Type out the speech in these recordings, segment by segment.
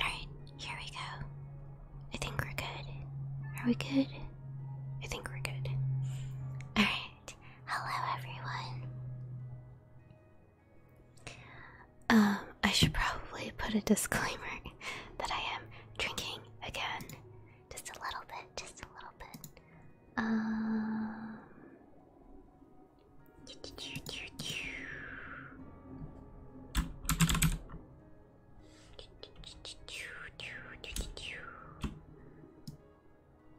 Alright, here we go. I think we're good. Are we good? I think we're good. Alright. Hello, everyone. Um, I should probably put a disclaimer that I am drinking again. Just a little bit, just a little bit. Um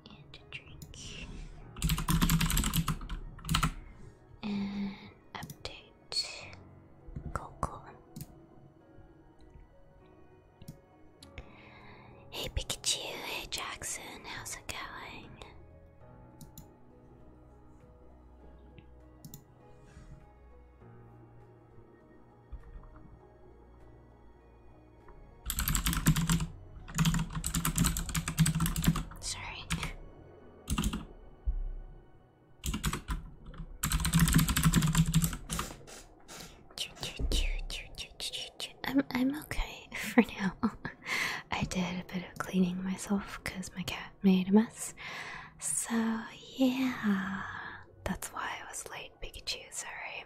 and drink. And update Coco. Hey Pikachu, hey Jackson, how's it going? Sorry. I'm I'm okay for now. I did a bit of cleaning myself because my cat made a mess. So yeah, that's why I was late, Pikachu. Sorry.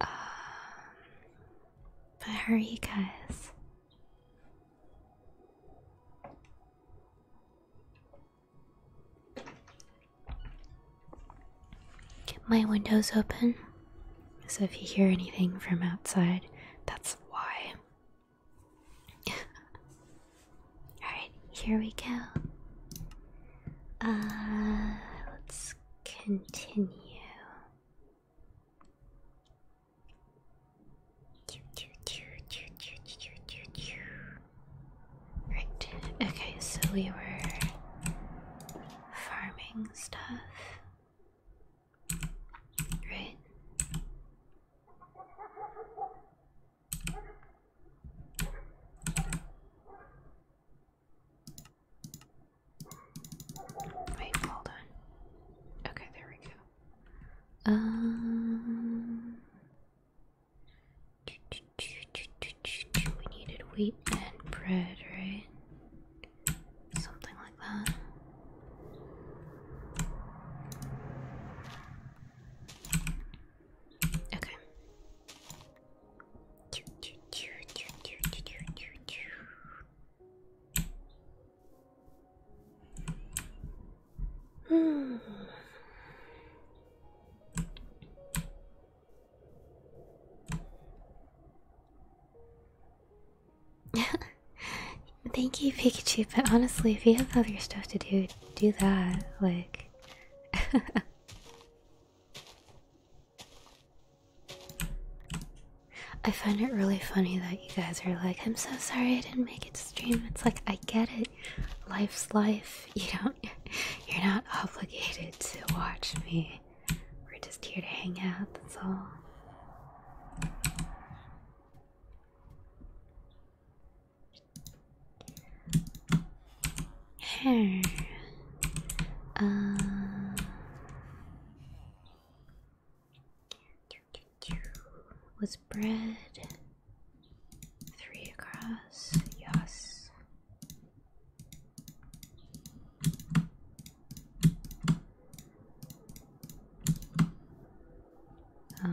Uh, but how are you guys? Get my windows open, so if you hear anything from outside, that's why. Alright, here we go. Uh, let's continue. Right, okay, so we were farming stuff. Right? Wait, hold on. Okay, there we go. Um, we needed wheat and bread, right? Something like that. Okay. Hmm. Thank you, Pikachu, but honestly, if you have other stuff to do, do that. Like, I find it really funny that you guys are like, I'm so sorry I didn't make it stream. It's like, I get it. Life's life. You don't, you're not obligated to watch me. We're just here to hang out, that's all hair. Uh, was bread three across? Yes. Uh,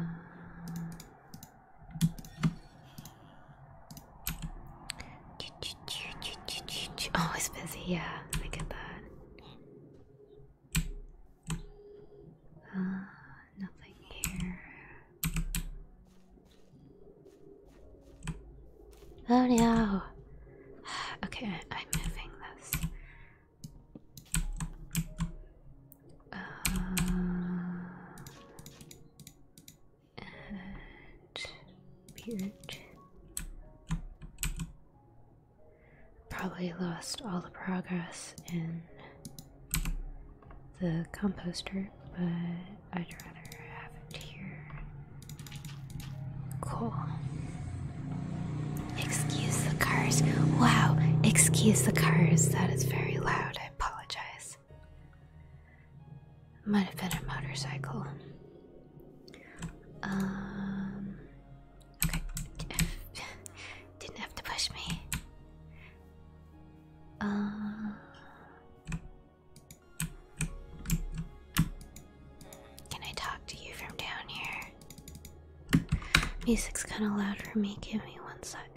Oh, it's busy. Yeah, Look at that. Uh, nothing here. Oh no. Okay, I'm moving this. Uh, beard. Probably lost all the progress in the composter, but I'd rather have it here. Cool. Excuse the cars. Wow, excuse the cars. That is very loud. I apologize was. Might have been a motorcycle. Um, okay. Didn't have to push me. Uh, can I talk to you from down here? Music's kind of loud for me. Give me one second.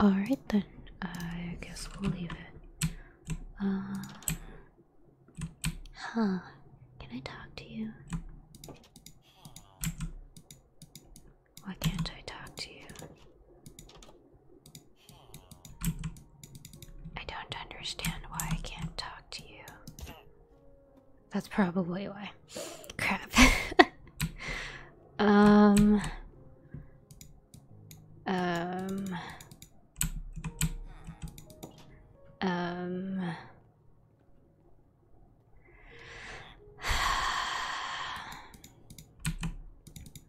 All right then, I guess we'll leave it. Uh, huh? Can I talk to you? Why can't I talk to you? I don't understand why I can't talk to you. That's probably why. Crap. um. Um. Um.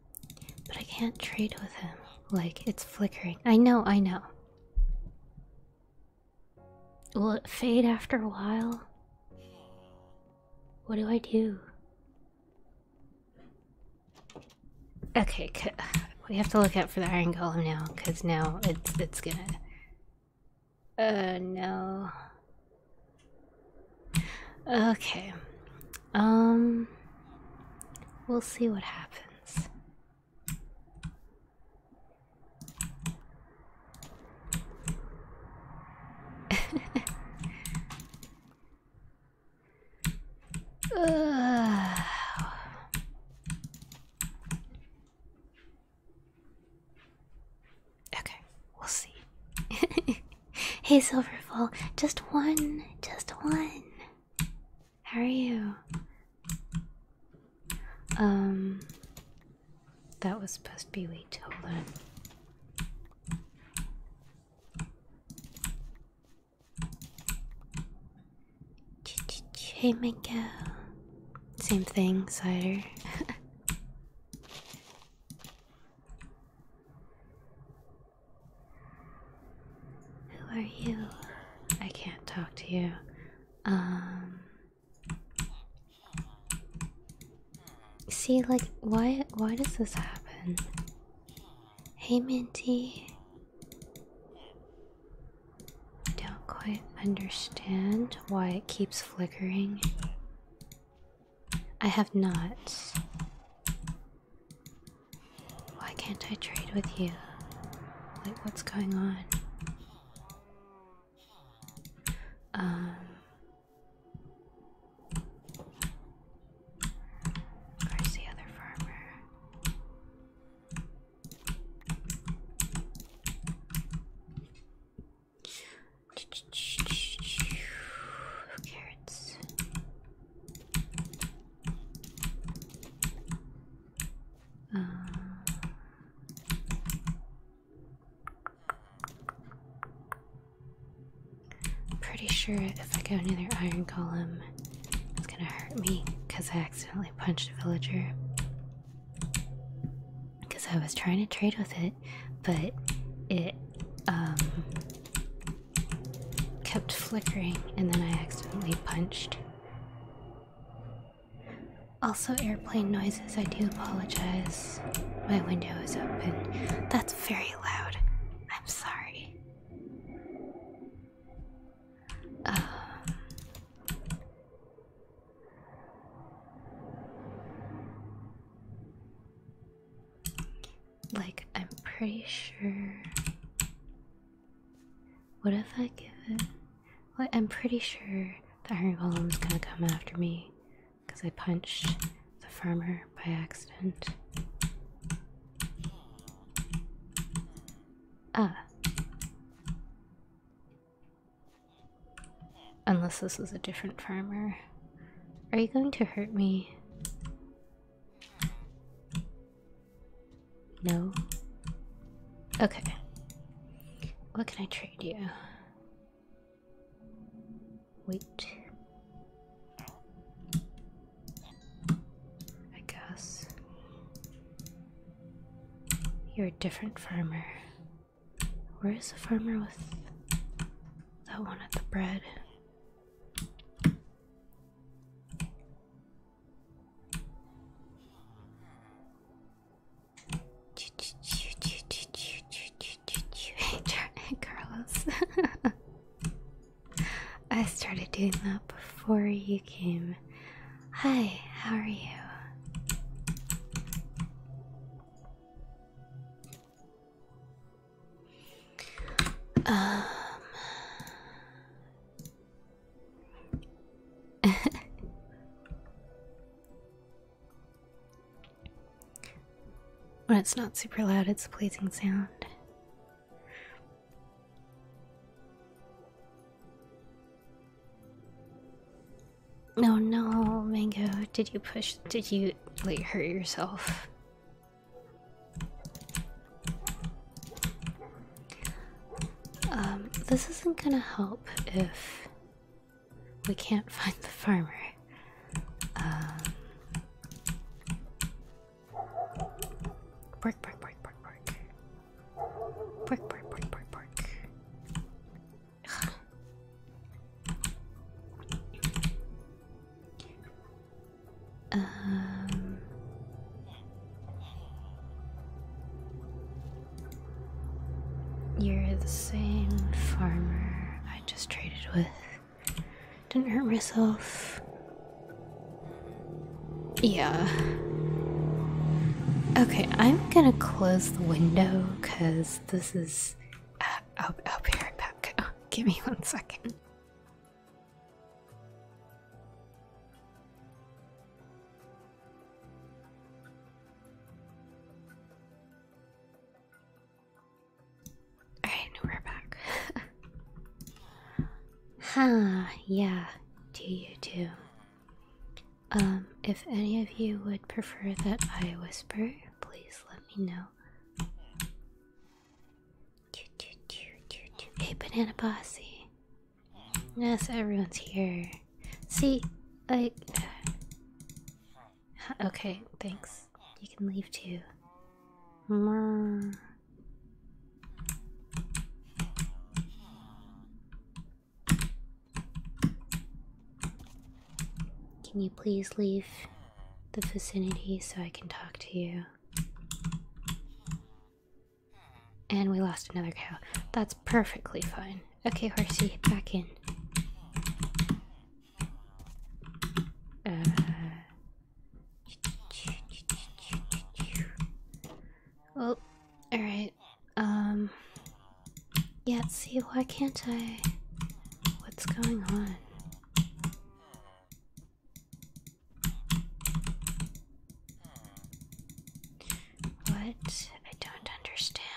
But I can't trade with him. Like, it's flickering. I know, I know. Will it fade after a while? What do I do? Okay, we have to look out for the iron column now, because now it's it's gonna. Uh no, Okay. Um we'll see what happens. Okay, we'll see. hey, Silverfall. Just one. Just one. How are you? Um. That was supposed to be wait. Hold on. Hey, Minko. Same thing, cider. Who are you? I can't talk to you. Um, see like why why does this happen? Hey Minty I Don't quite understand why it keeps flickering. I have not. Why can't I trade with you? Like, what's going on? Um. Where's the other farmer? Carrots. Uh, pretty sure if I go near their iron column, it's gonna hurt me because I accidentally punched a villager. Because I was trying to trade with it, but it um, kept flickering and then I accidentally punched. Also, airplane noises, I do apologize. My window is open. That's very loud. I'm sorry. Like, I'm pretty sure. What if I give it? I'm pretty sure that iron golem's gonna come after me because I punched the farmer by accident. Ah. Unless this is a different farmer. Are you going to hurt me? No? Okay. What can I trade you? Wait. I guess. You're a different farmer. Where is the farmer with that one at the bread? Hey, Carlos. I started doing that before you came. Hi, how are you? Um. when it's not super loud, it's a pleasing sound. No, oh no, Mango, did you push? Did you like hurt yourself? this isn't gonna help if we can't find the farmer. Bark, bark, bark, bark, bark. Bark, bark, bark, um, you're the same farmer I just traded with. Didn't hurt myself. Yeah. Okay, I'm gonna close the window because this is. Uh, I'll, be right back. give me one second. Alright, we're back. huh, yeah, do you too? Um, if any of you would prefer that I whisper, please let me know. Hey, Banana Bossy. Yes, everyone's here. See, like. Okay, thanks. You can leave too. Can you please leave the vicinity so I can talk to you? And we lost another cow. That's perfectly fine. Okay, horsey, back in. Uh, well, oh, alright. Um. Yeah, see, why can't I? What's going on? What? I don't understand.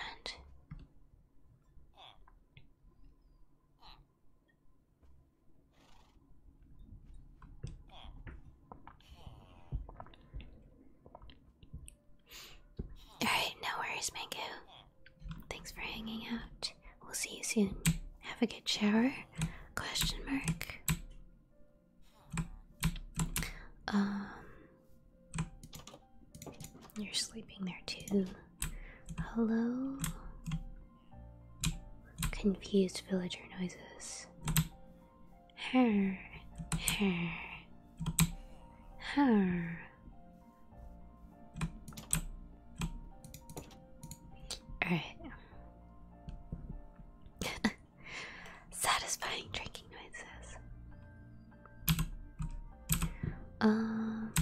Alright, no worries, Mango. Thanks for hanging out. We'll see you soon. Have a good shower? Question mark. Um, you're sleeping there too. Hello? Confused villager noises. Her, her, her. Alright. Satisfying drinking noises. Um.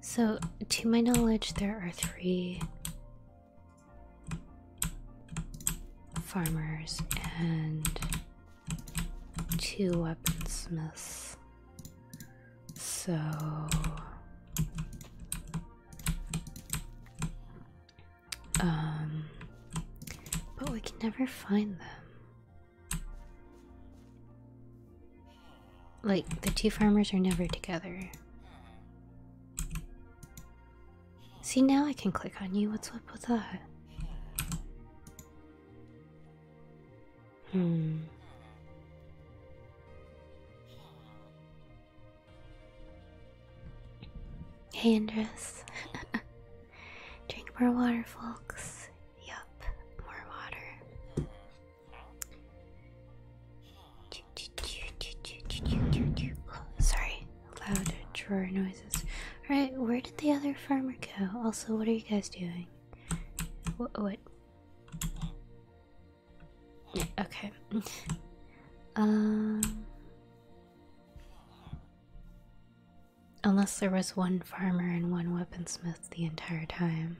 So, to my knowledge, there are three farmers and two weaponsmiths. So um but we can never find them. Like the two farmers are never together. See now I can click on you. What's up with that? Hmm. Hey, Andres. Drink more water, folks. Yup, more water. sorry, loud drawer noises. Alright, where did the other farmer go? Also, what are you guys doing? What? what? Okay. Um, unless there was one farmer and one weaponsmith the entire time.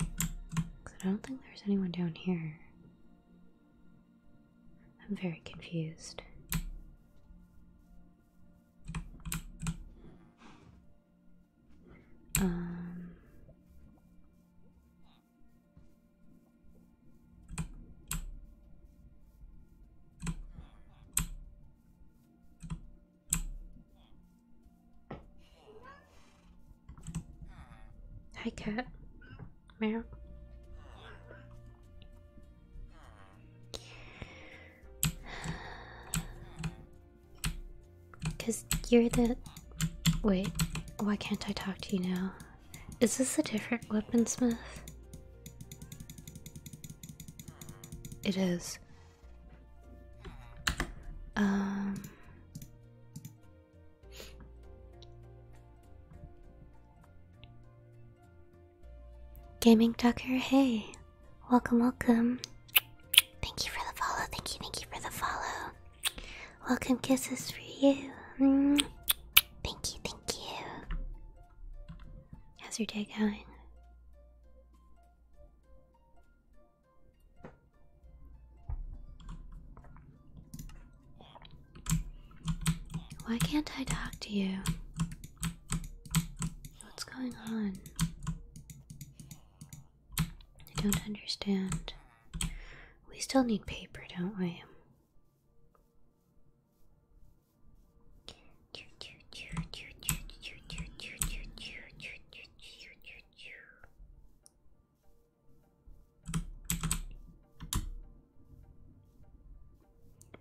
I don't think there's anyone down here. I'm very confused. Um, Hi, cat. Meow. Because you're the. Wait, why can't I talk to you now? Is this a different weaponsmith? It is. Um. Gaming Tucker, hey. Welcome, welcome. Thank you for the follow. Thank you, thank you for the follow. Welcome kisses for you. Mm. Thank you, thank you. How's your day going? Why can't I talk to you? What's going on? I don't understand. We still need paper, don't we?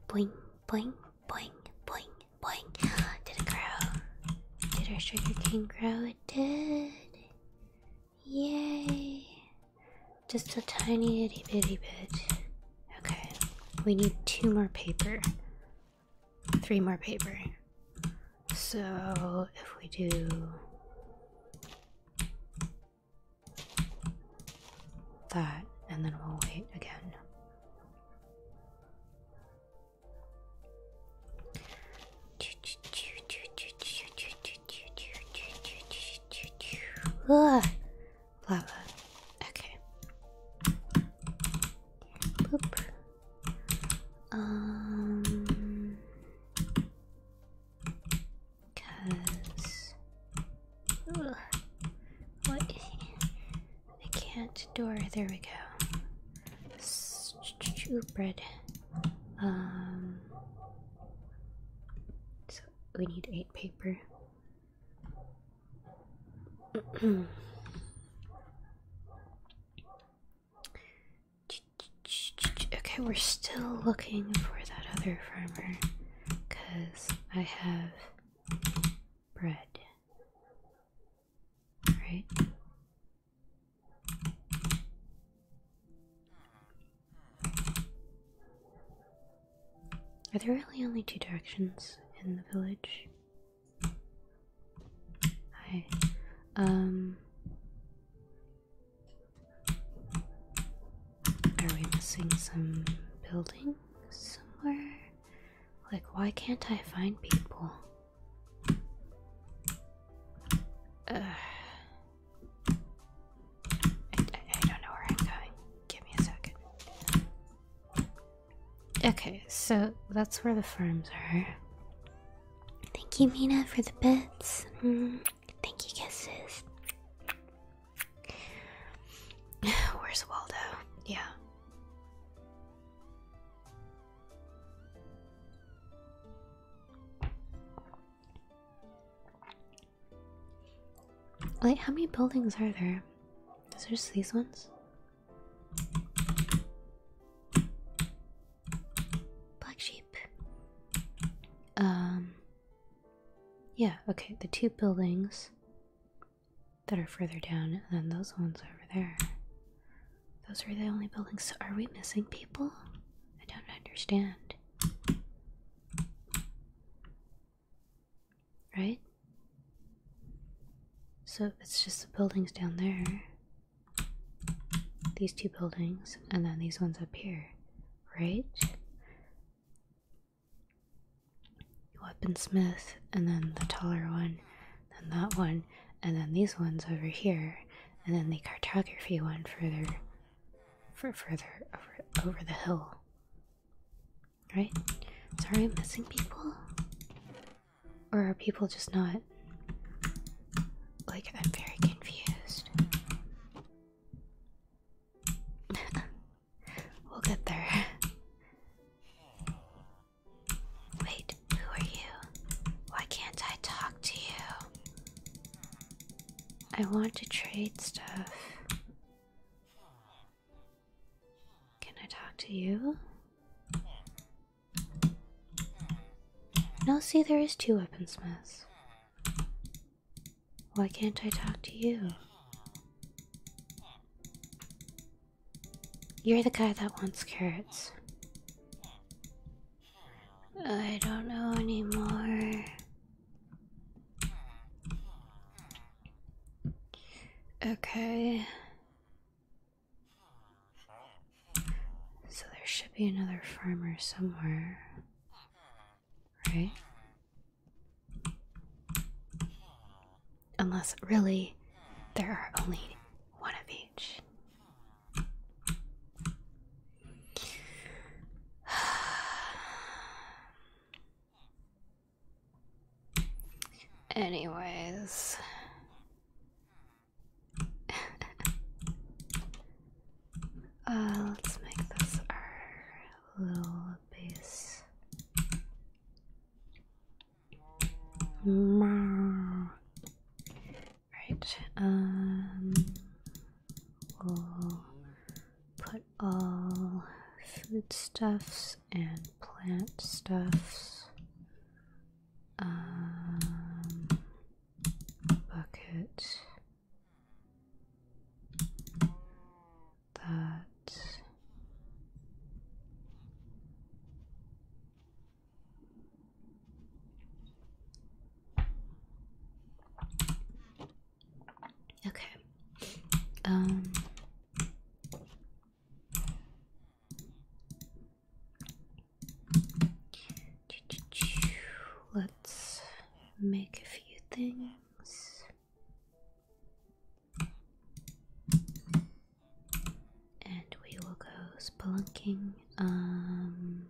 Boing, boing, boing, boing, boing. Did it grow? Did our sugar grow? did. Yay! Just a tiny itty bitty bit. Okay, we need two more paper. Three more paper. So if we do. That and then we'll wait again. Ugh. Lava. Okay. Boop. Um. Cause. Ugh. What? I can't door. There we go bread. Um, so we need eight paper. okay, we're still looking for that other farmer because I have bread. All right. Are there really only two directions in the village? Hi. Um. Are we missing some buildings somewhere? Like, why can't I find people? I, don't know where I'm going. Give me a second. Okay, so that's where the farms are. Thank you, Mina, for the bits. Mm, thank you, kisses. Where's Waldo? Yeah. Like, how many buildings are there? Is there just these ones? Black sheep. Um. Yeah, okay, the two buildings that are further down, and then those ones over there. Those are the only buildings. Are we missing people? I don't understand. Right? So it's just the buildings down there. These two buildings, and then these ones up here. Right? Weapon Smith, and then the taller one, then that one, and then these ones over here, and then the cartography one further, further over over the hill. Right? Sorry, I'm missing people, or are people just not? Like I'm very confused. we'll get there. Wait, who are you? Why can't I talk to you? I want to trade stuff. Can I talk to you? No, see, there is two weaponsmiths. Why can't I talk to you? You're the guy that wants carrots. I don't know anymore. Okay. So there should be another farmer somewhere. Right? Unless, really, there are only one of each. Anyways. Uh, let's make this our little base. Mm Right, um, we'll put all food stuffs and plant stuffs, um, bucket. That Okay. Um Let's make a few things and we will go spelunking. Um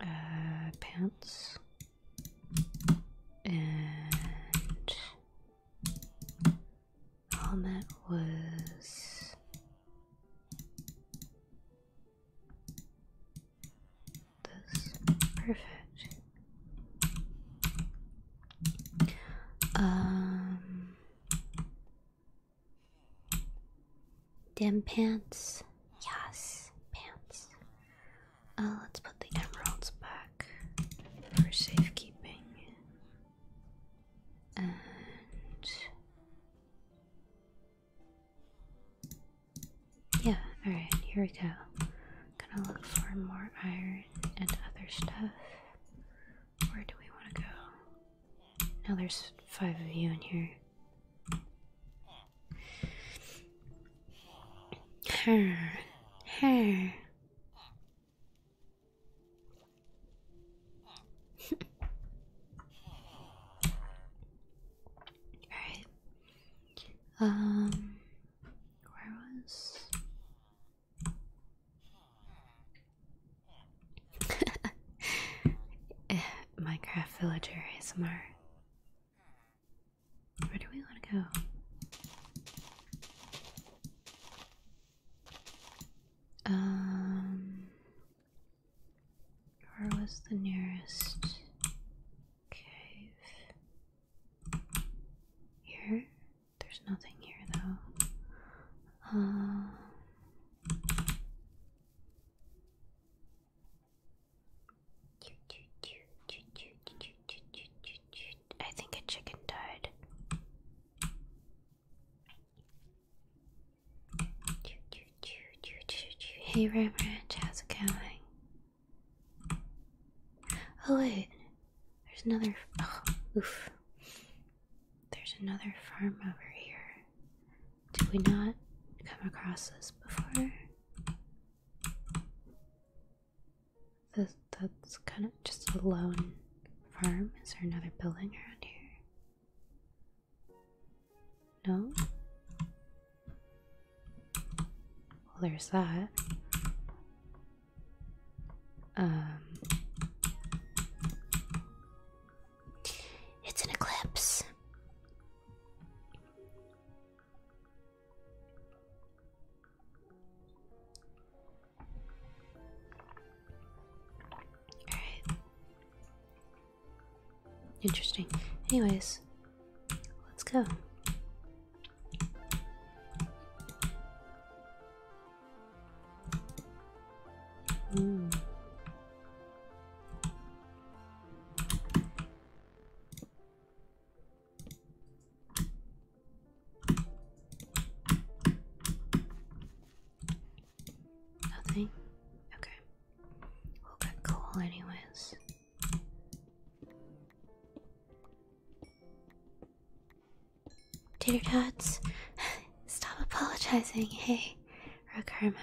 uh, pants and helmet was this perfect um Damn pants. Yes, pants. Uh, let's put the emeralds back for safekeeping. And yeah, alright, here we go. Gonna look for more iron and other stuff. Where do we want to go? Now there's five of you in here. Her. Her. Alright. Um where was Minecraft villager is ASMR. Where do we want to go? Um, where was the nearest cave? Here? There's nothing here though. Um, I think a chicken died. Hey, Ram Ranch, how's it going? Oh, wait, there's another. oof. There's another farm over here. Did we not come across this before? that's kind of just a lone farm. Is there another building around here? No? Well, there's that. Um, it's an eclipse. Alright. Interesting. Anyways, let's go. Nothing? Okay. We'll get coal anyways. Tater tots, stop apologizing, hey, Rokarma.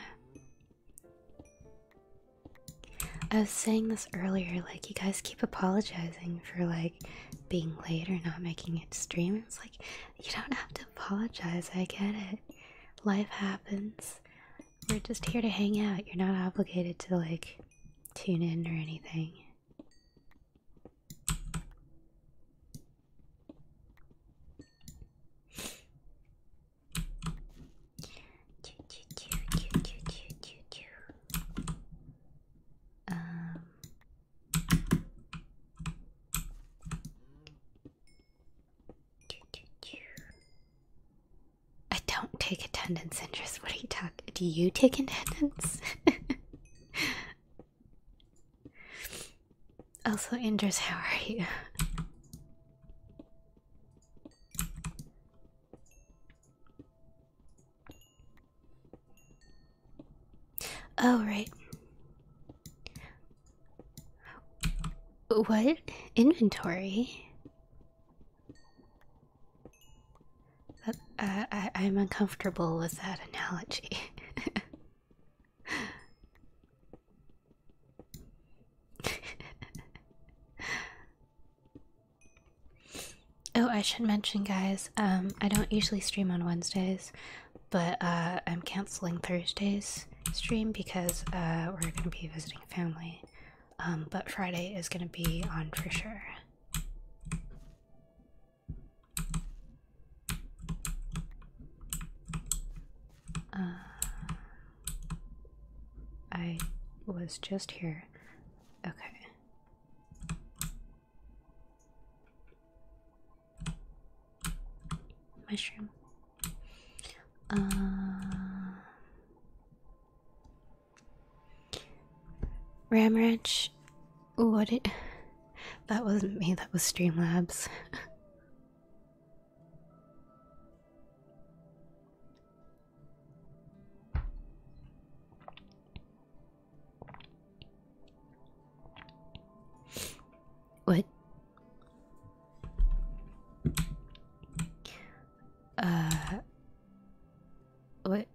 I was saying this earlier, like, you guys keep apologizing for, like, being late or not making it stream. It's like, you don't have to apologize, I get it. Life happens. We're just here to hang out. You're not obligated to, like, tune in or anything. Um, I don't take attendance, Andress. What are you talking? Do you take attendance? Also, Indris, how are you? Oh, right. What? Inventory? That, uh, I, I'm uncomfortable with that analogy. oh, I should mention, guys, um, I don't usually stream on Wednesdays, but uh, I'm canceling Thursday's stream because uh, we're going to be visiting family. Um, but Friday is going to be on for sure. Uh, I was just here. Okay. Mushroom. Uh, Ram Ranch. What it? That wasn't me. That was Streamlabs. What? Uh, what?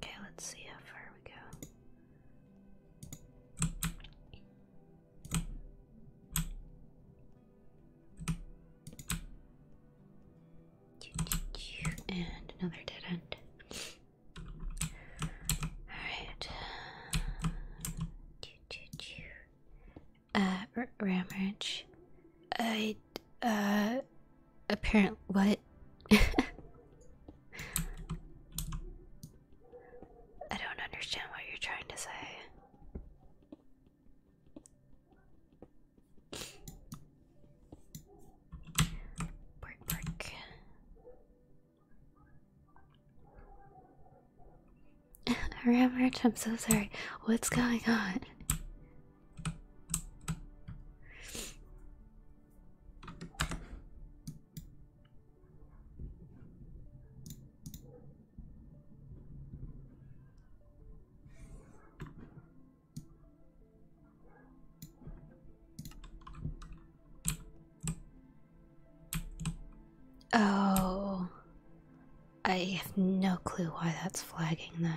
Okay, let's see how far we go. And another dead end. Alright. Uh, R Ramage. I, uh, apparent what? I don't understand what you're trying to say. Break, break. Ramage, I'm so sorry. What's going on? Oh, I have no clue why that's flagging then.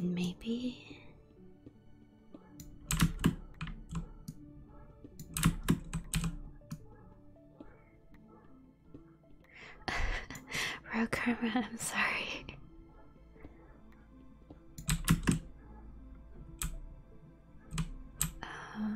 Maybe Rogue Kermit, I'm sorry. Uh,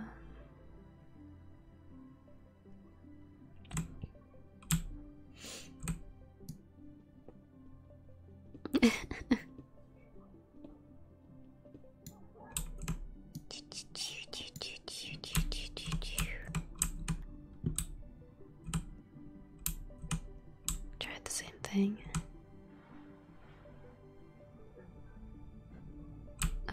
Tried the same thing. Uh,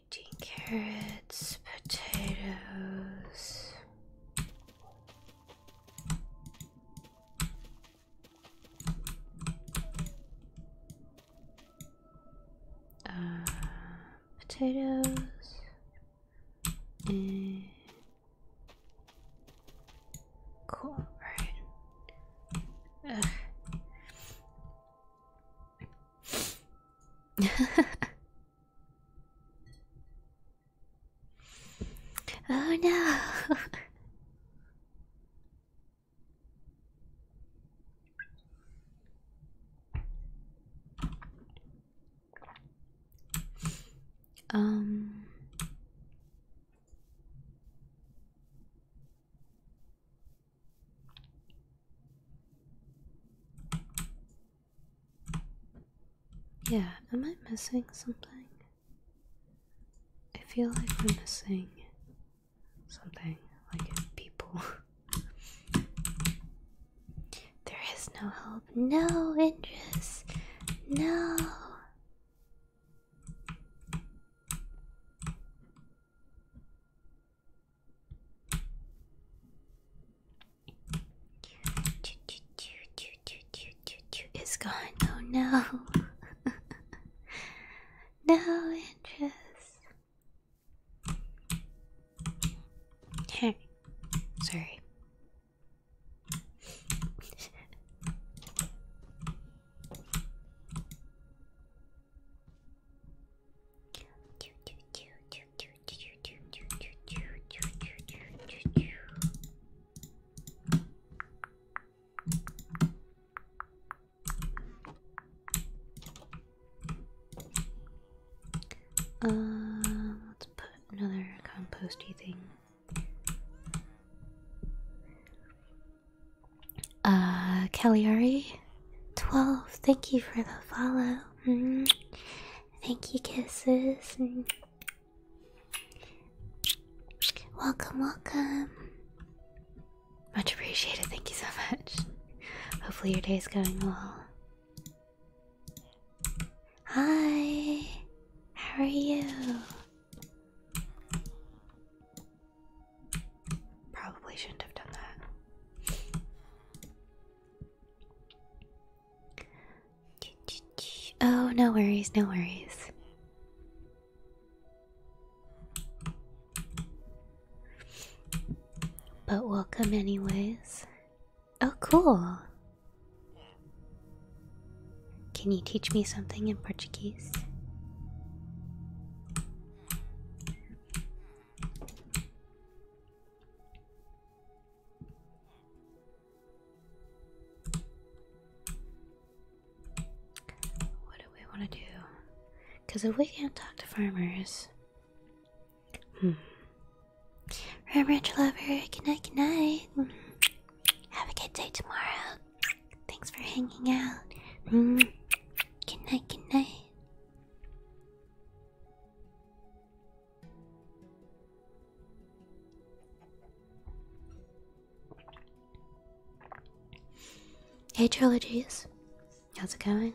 carrots, potatoes. Uh, potatoes and cool, right? Oh no. um yeah, am I missing something? I feel like I'm missing something, like people. there is no hope, no interest, no. It's gone. Oh no. no interest. Hey. Sorry. Uh, let's put another composty thing. Uh, Caliari, twelve. Thank you for the follow. Mm Thank you, kisses. welcome, welcome. Much appreciated. Thank you so much. Hopefully, your day is going well. Hi, how are you? Probably shouldn't have done that. Oh, no worries, no worries. But welcome, anyways. Oh, cool. Can you teach me something in Portuguese? What do we want to do? Because if we can't talk to farmers. Hmm. Red Ranch Lover, good night, good night. Have a good day tomorrow. Thanks for hanging out. Hmm. Good night, good night. Hey, trilogies, how's it going?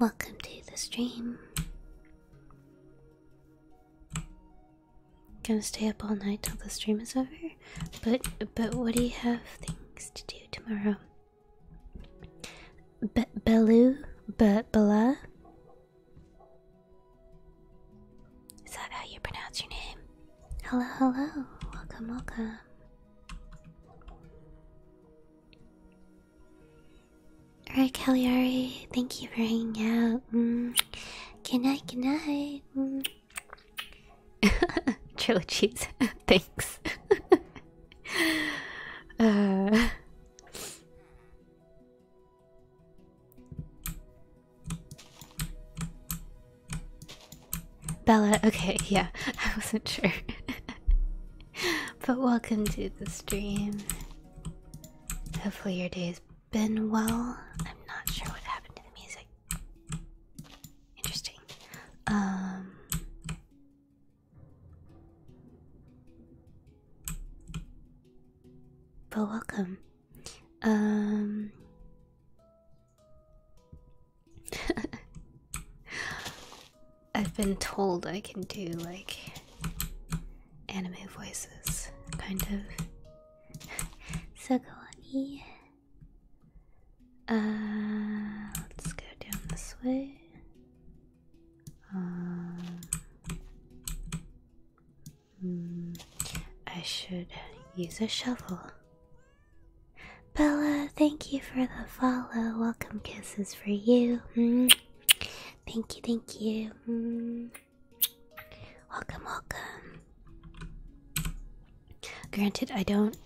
Welcome to the stream. Gonna stay up all night till the stream is over, but but what do you have things to do tomorrow? B Baloo, B Bala. Is that how you pronounce your name? Hello, hello, welcome, welcome. Alright, Caliari, thank you for hanging out. Mm. Good night, good night. Mm. Trilogies, thanks. Uh, Bella, okay, yeah, I wasn't sure. but welcome to the stream. Hopefully, your day's been well. I'm not sure what happened to the music. Interesting. Um, but welcome. Um. I've been told I can do like anime voices, kind of. so go on E. Uh, let's go down this way. Um, mm, I should use a shovel. Bella, thank you for the follow. Welcome kisses for you. Hmm, thank you, thank you. Hmm, welcome, welcome. Granted, I don't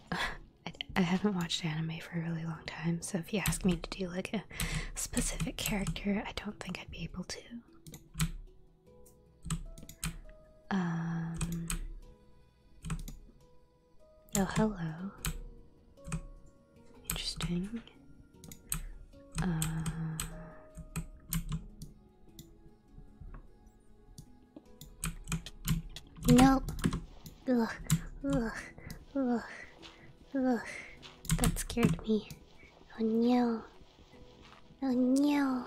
I, haven't watched anime for a really long time, so if you ask me to do like a specific character, I don't think I'd be able to. Um. Oh, hello. Interesting. Uh, Nope. Ugh. Ugh. Ugh. Ugh. That scared me. Oh no. Oh no.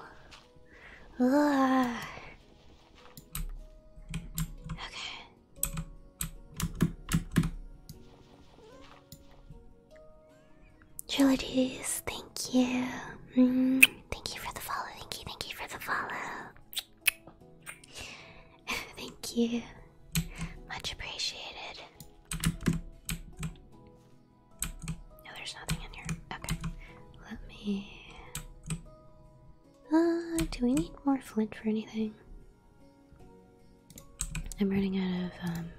Ugh. Okay. Trilogies, thank you. Mm, thank you for the follow. Thank you. Thank you for the follow. Thank you. Much appreciated. No, there's nothing in here. Okay. Let me. Uh, do we need more flint for anything? I'm running out of um,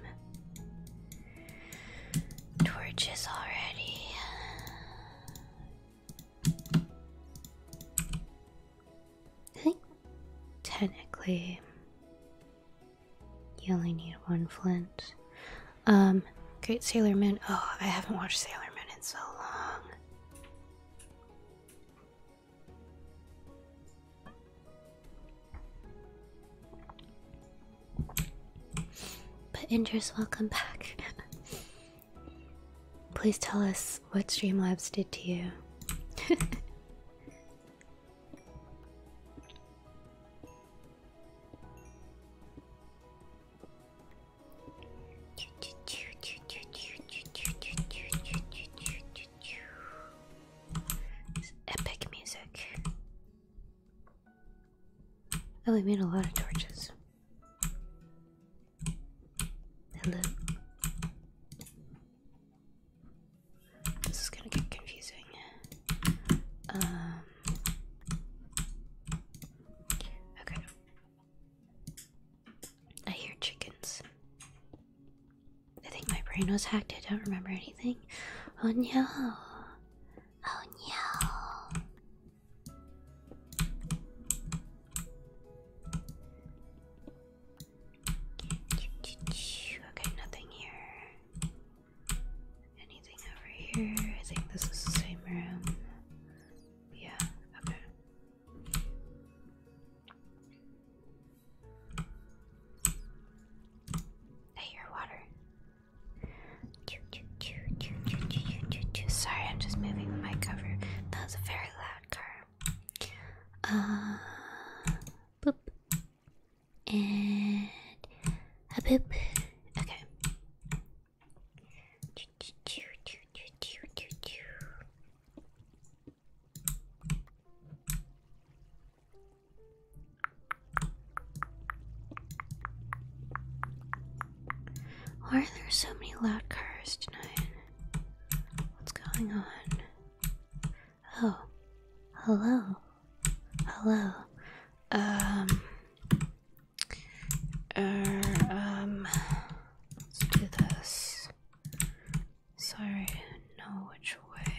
torches already. I think technically you only need one flint. Um, Great Sailor Moon. Oh, I haven't watched Sailor Moon in so long. But Indris, welcome back. Please tell us what Streamlabs did to you. epic music. Oh, we made a lot of torches. And then this is gonna get confusing. Um, okay. I hear chickens. I think my brain was hacked. I don't remember anything. Oh no! Oh no! Okay, nothing here. Anything over here? I think this is the same room. Yeah, okay. I hear water. Sorry, I'm just moving the mic That was a very loud car. Uh, boop. And a boop. Okay. Why are there so many loud cars tonight? What's going on? Oh, hello. Hello. Um, er, um, let's do this. Sorry, know which way.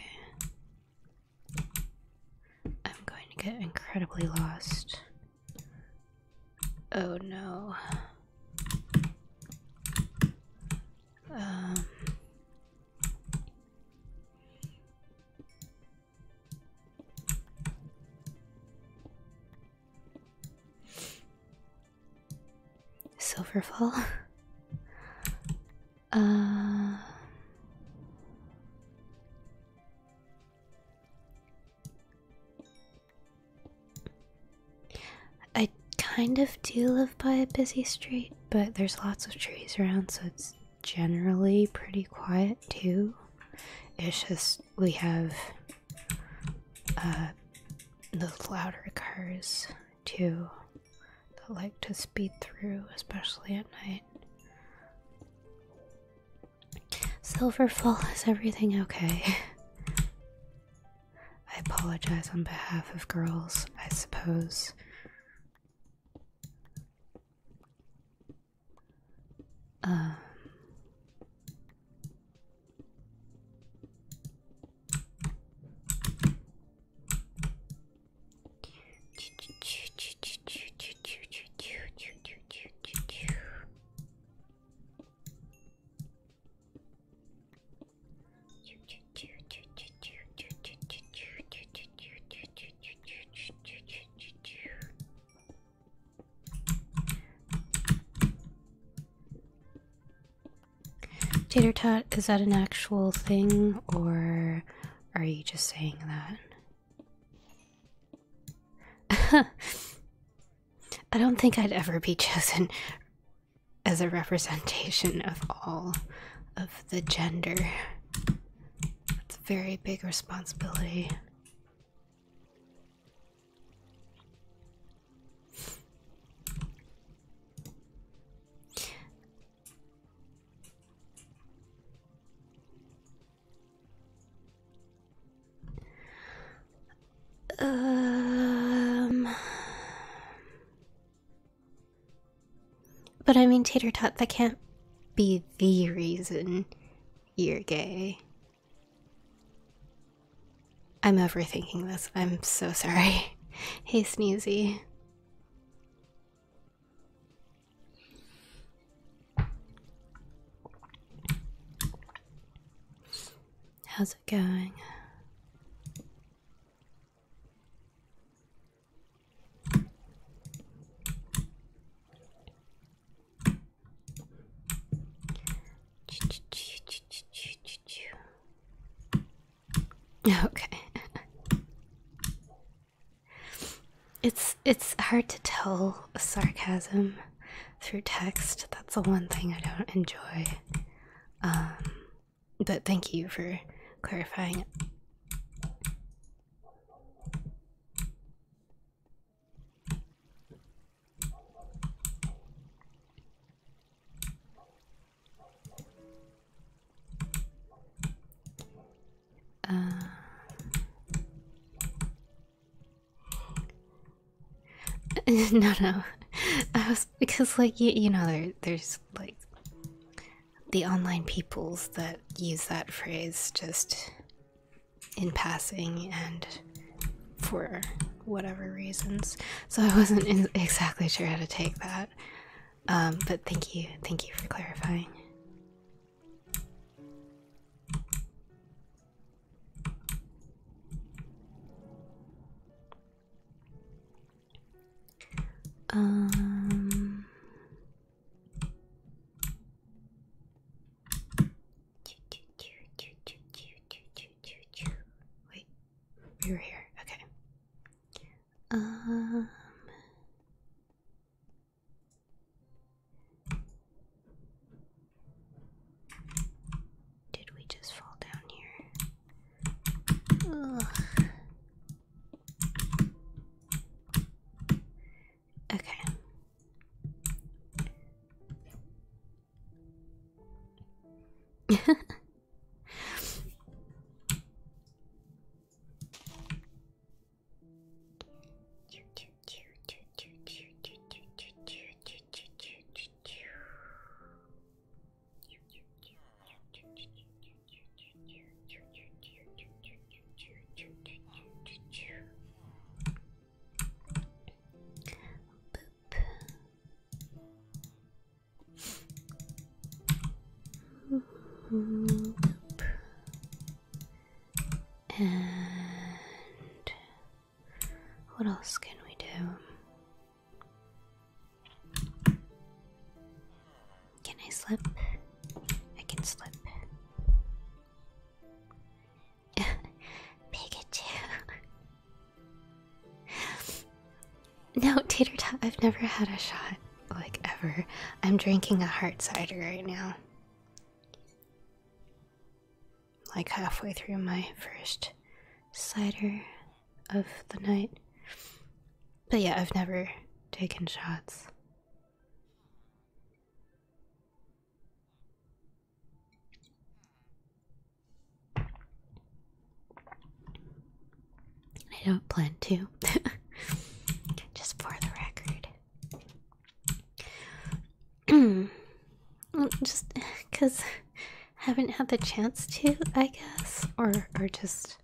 I'm going to get incredibly lost. Oh no. Silverfall. Uh, I kind of do live by a busy street, but there's lots of trees around, so it's generally pretty quiet too. It's just we have uh, the louder cars too that like to speed through, especially at night. Silverfall, is everything okay? I apologize on behalf of girls, I suppose. Um. Tater tot, is that an actual thing or are you just saying that? I don't think I'd ever be chosen as a representation of all of the gender. That's a very big responsibility. Um. But I mean, Tater Tot, that can't be the reason you're gay. I'm overthinking this. I'm so sorry. Hey, Sneezy. How's it going? Okay. It's it's hard to tell sarcasm through text. That's the one thing I don't enjoy. Um, but thank you for clarifying it. Uh, no, no, I because like you, know there's like the online peoples that use that phrase just in passing and for whatever reasons so i wasn't exactly sure how to take that um, but thank you thank you for clarifying um. Wait, we were here. Okay. Um. Did we just fall down here? Okay. Boop. Boop. And what else can we do? Can I slip? I can slip. Pikachu. no, tater tot. I've never had a shot like ever. I'm drinking a hard cider right now. Like halfway through my first cider of the night. But yeah, I've never taken shots. I don't plan to, just for the record. just because haven't had the chance to, I guess, or or just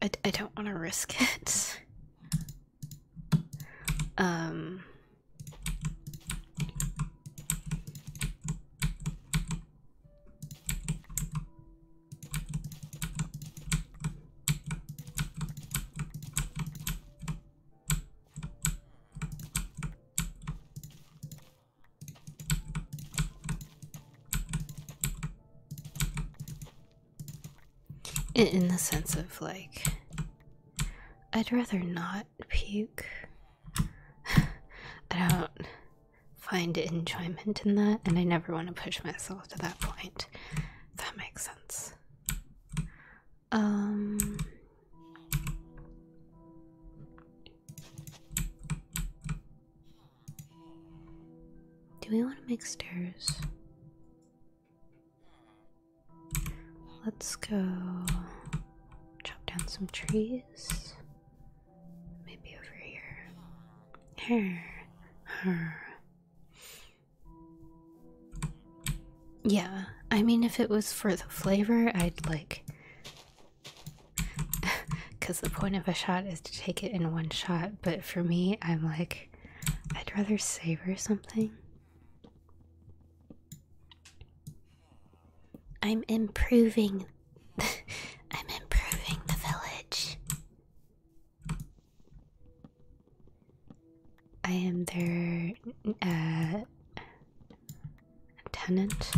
I, I don't want to risk it. Um in, the sense of like, I'd rather not puke. I don't find enjoyment in that, and I never want to push myself to that point. that makes sense. Um. Do we want to make stairs? Let's go chop down some trees. Maybe over here. Here. Her. Yeah, I mean, if it was for the flavor, I'd like because the point of a shot is to take it in one shot, but for me, I'm like, I'd rather savor something. I'm improving. I'm improving the village. I am their uh, tenant.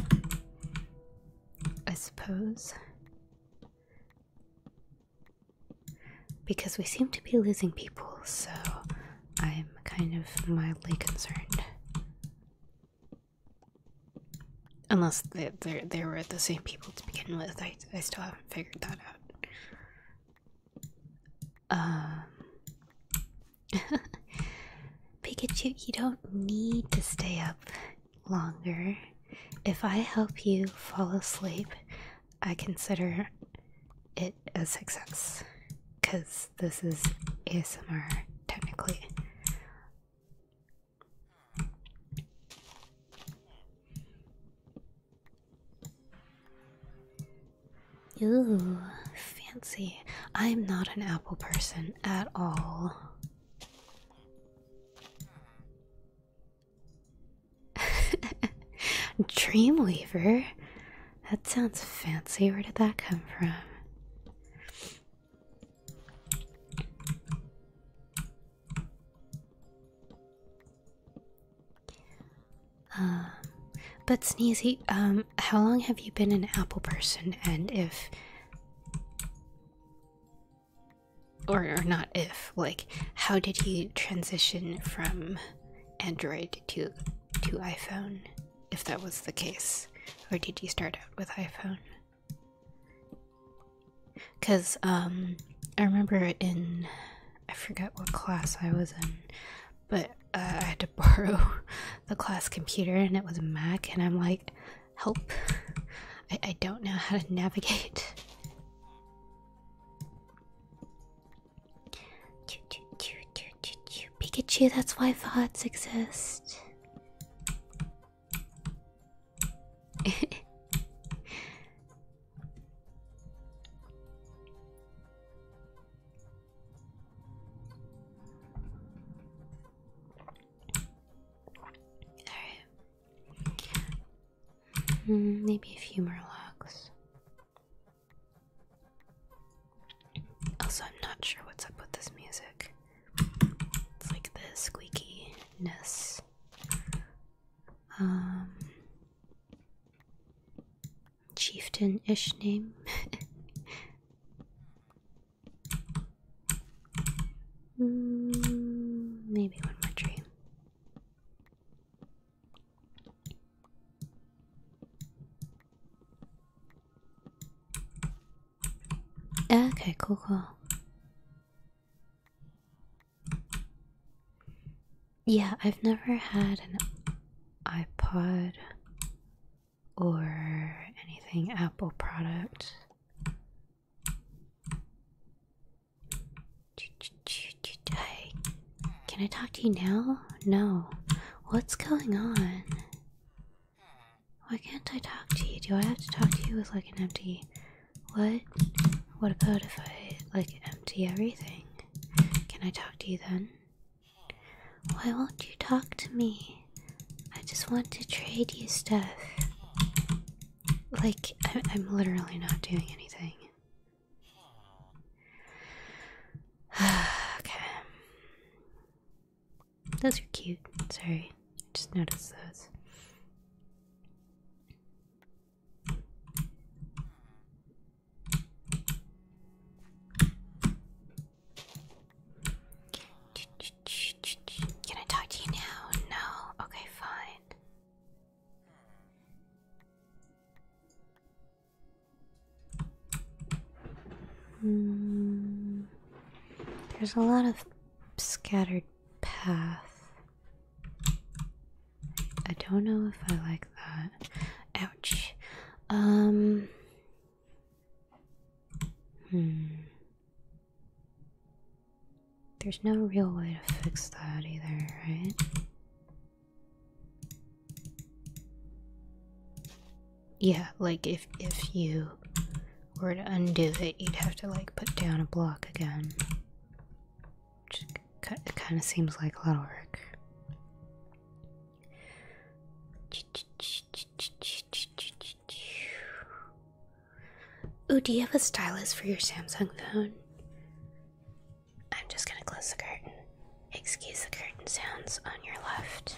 I suppose. Because we seem to be losing people, so I'm kind of mildly concerned. Unless they, they, were the same people to begin with, I, I still haven't figured that out. Um, Pikachu, you don't need to stay up longer. If I help you fall asleep, I consider it a success because this is ASMR technically. Ooh, fancy. I'm not an apple person at all. Dreamweaver? That sounds fancy. Where did that come from? Um, but Sneezy, um, how long have you been an apple person? And if or, not if like how did he transition from android to to iphone if that was the case or did he start out with iphone because um i remember in i forget what class i was in but uh, i had to borrow the class computer and it was a mac and i'm like help. I, don't know how to navigate. Pikachu, that's why thoughts exist. Alright. Hmm, maybe a few more logs. Also, I'm not sure what's up with this music. It's like the squeakiness. Um, chieftain ish name. Mm, maybe one more tree. Okay, cool, cool. Yeah, I've never had an iPod or anything Apple product can I talk to you now? No. What's going on? Why can't I talk to you? Do I have to talk to you with like an empty. What? What about if I like empty everything? Can I talk to you then? Why won't you talk to me? I just want to trade you stuff. Like, I am literally not doing anything. okay. Those are cute. Sorry, I just noticed those. Can I talk to you now? No? Okay, fine. Mm, there's a lot of scattered path. I don't know if I like that. Ouch. Um. Hmm. There's no real way to fix that either, right? Yeah, like if if you were to undo it, you'd have to like put down a block again. it kind of seems like a lot of work. Ooh, do you have a stylus for your Samsung phone? I'm just gonna close the curtain. Excuse the curtain sounds on your left.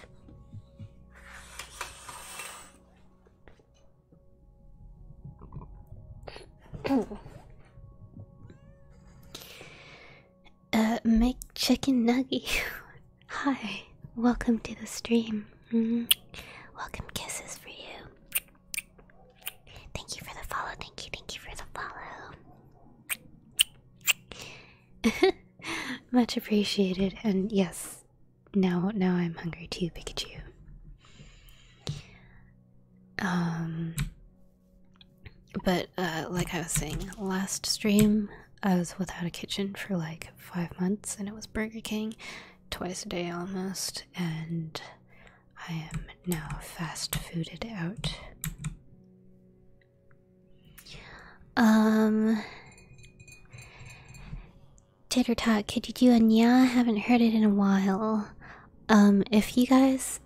uh, make chicken nugget. Hi, welcome to the stream. Mm-hmm. Welcome kisses for you. Thank you for the follow. Thank you. Thank you for the follow. Much appreciated. And yes, now now I'm hungry too, Pikachu. Um, but uh, like I was saying last stream, I was without a kitchen for like five months, and it was Burger King twice a day almost, and I am now fast fooded out. Um. Titter Tot, could you and a nya? Haven't heard it in a while. Um, if you guys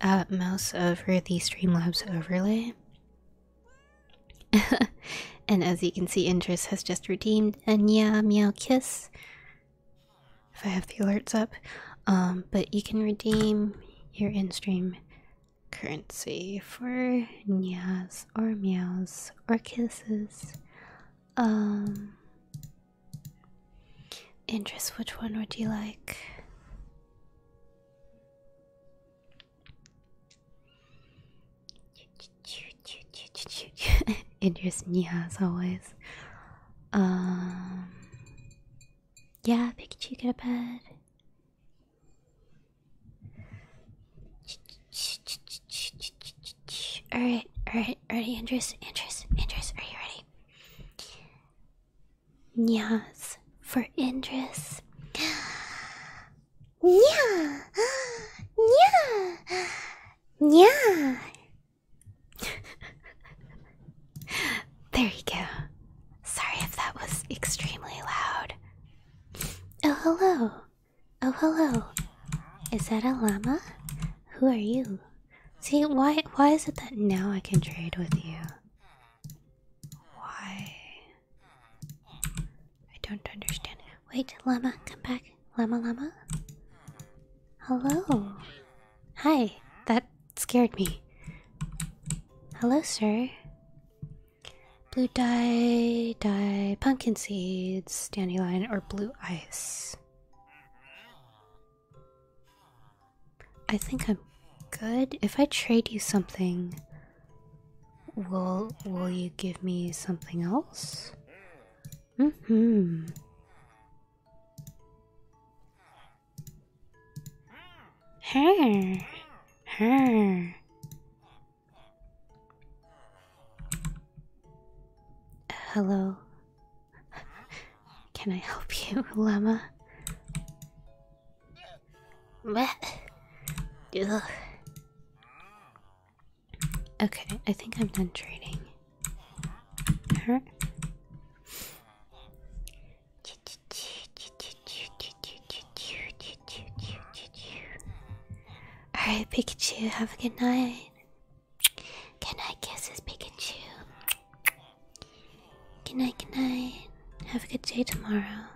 uh, mouse over the Streamlabs overlay, And as you can see, Interest has just redeemed a Nya Meow Kiss. If I have the alerts up. Um, but you can redeem your in-stream currency for Nyas or Meows or Kisses. Um, Interest, which one would you like? it just as always. Um, yeah, Pikachu, get a bed. All right, all right, ready, Indris, Indris, Andrews, are you ready? Nyas for Indris. Nya! Nya! Yeah. there you go. Sorry if that was extremely loud. Oh, hello. Oh, hello. Is that a llama? Who are you? See, why why is it that now I can trade with you? Why? I don't understand. Wait, llama, come back. Llama, llama. Hello. Hi. That scared me. Hello, sir. Blue dye, dye, pumpkin seeds, dandelion, or blue ice. I think I'm good. If I trade you something, will will you give me something else? hmm. Her. Her. Hello. Can I help you, llama? What? Ugh. Okay, I think I'm done trading. Alright, Pikachu, have a good night. Good kisses, Pikachu. Good night, good night. Have a good day tomorrow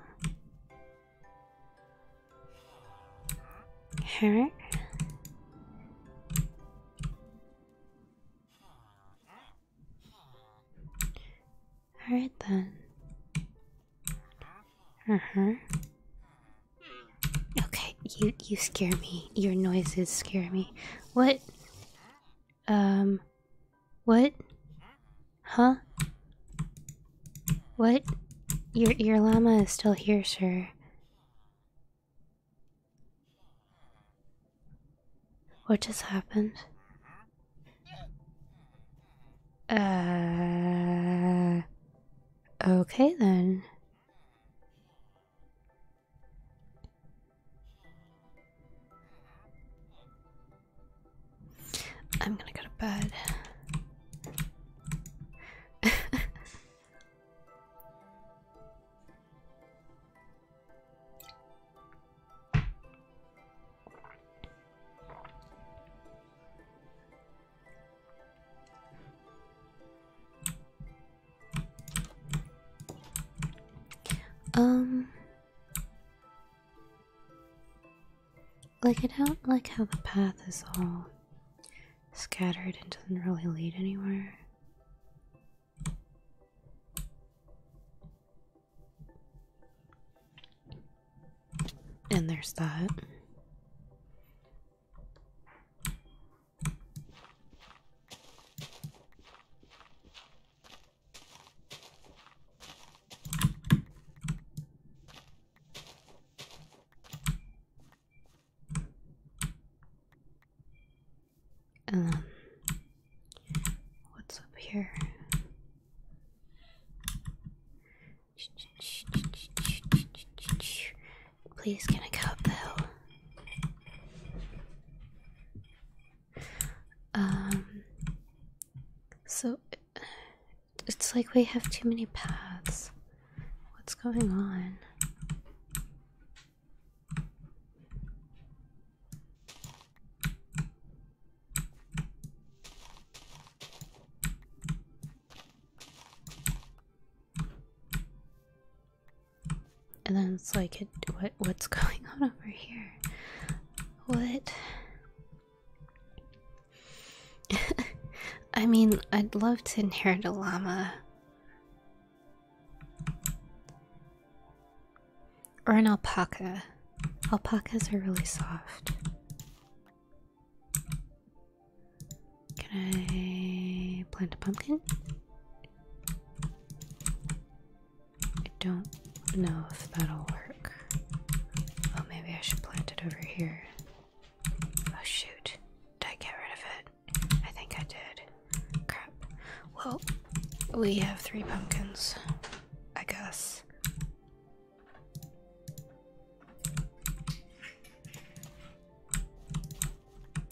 her Alright then. Uh-huh. Okay, you you scare me. Your noises scare me. What? Um what? Huh? What? Your your llama is still here, sir. What just happened? Uh. Okay then. I'm gonna go to bed. Um like I don't like how the path is all scattered and doesn't really lead anywhere. And there's that. Um, what's up here? Please, can I go up the hill? Um, so it's like we have too many paths. What's going on? And then it's like, it, what what's going on over here? What? I mean, I'd love to inherit a llama, or an alpaca. Alpacas are really soft. Can I plant a pumpkin? I don't know if that'll work. Oh, maybe I should plant it over here. Oh shoot. Did I get rid of it? I think I did. Crap. Well, we have three pumpkins, I guess.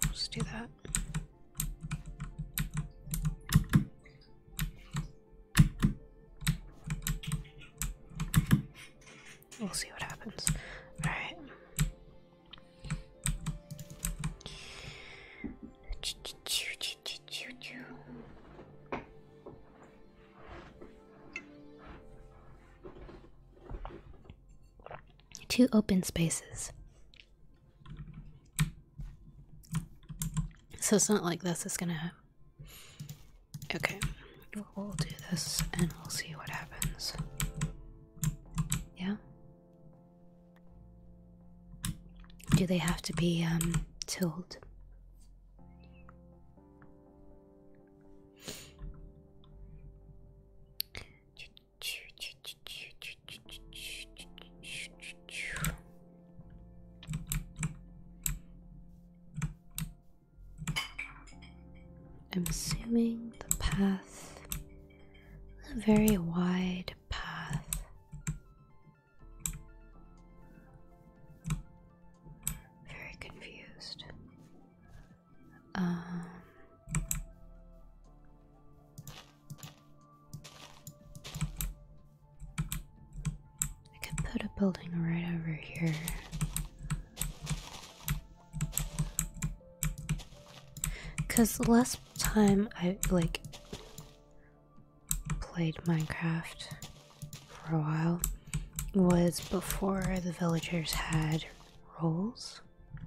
Let's do that. We'll see what happens. Alright. Two open spaces. So it's not like this is gonna. Okay, we'll do this and we'll see what happens. Yeah. Do they have to be um, told? I'm assuming the path, a very wide path. Very confused. Um, I could put a building right over here. Cause the last time I like played Minecraft for a while was before the villagers had roles,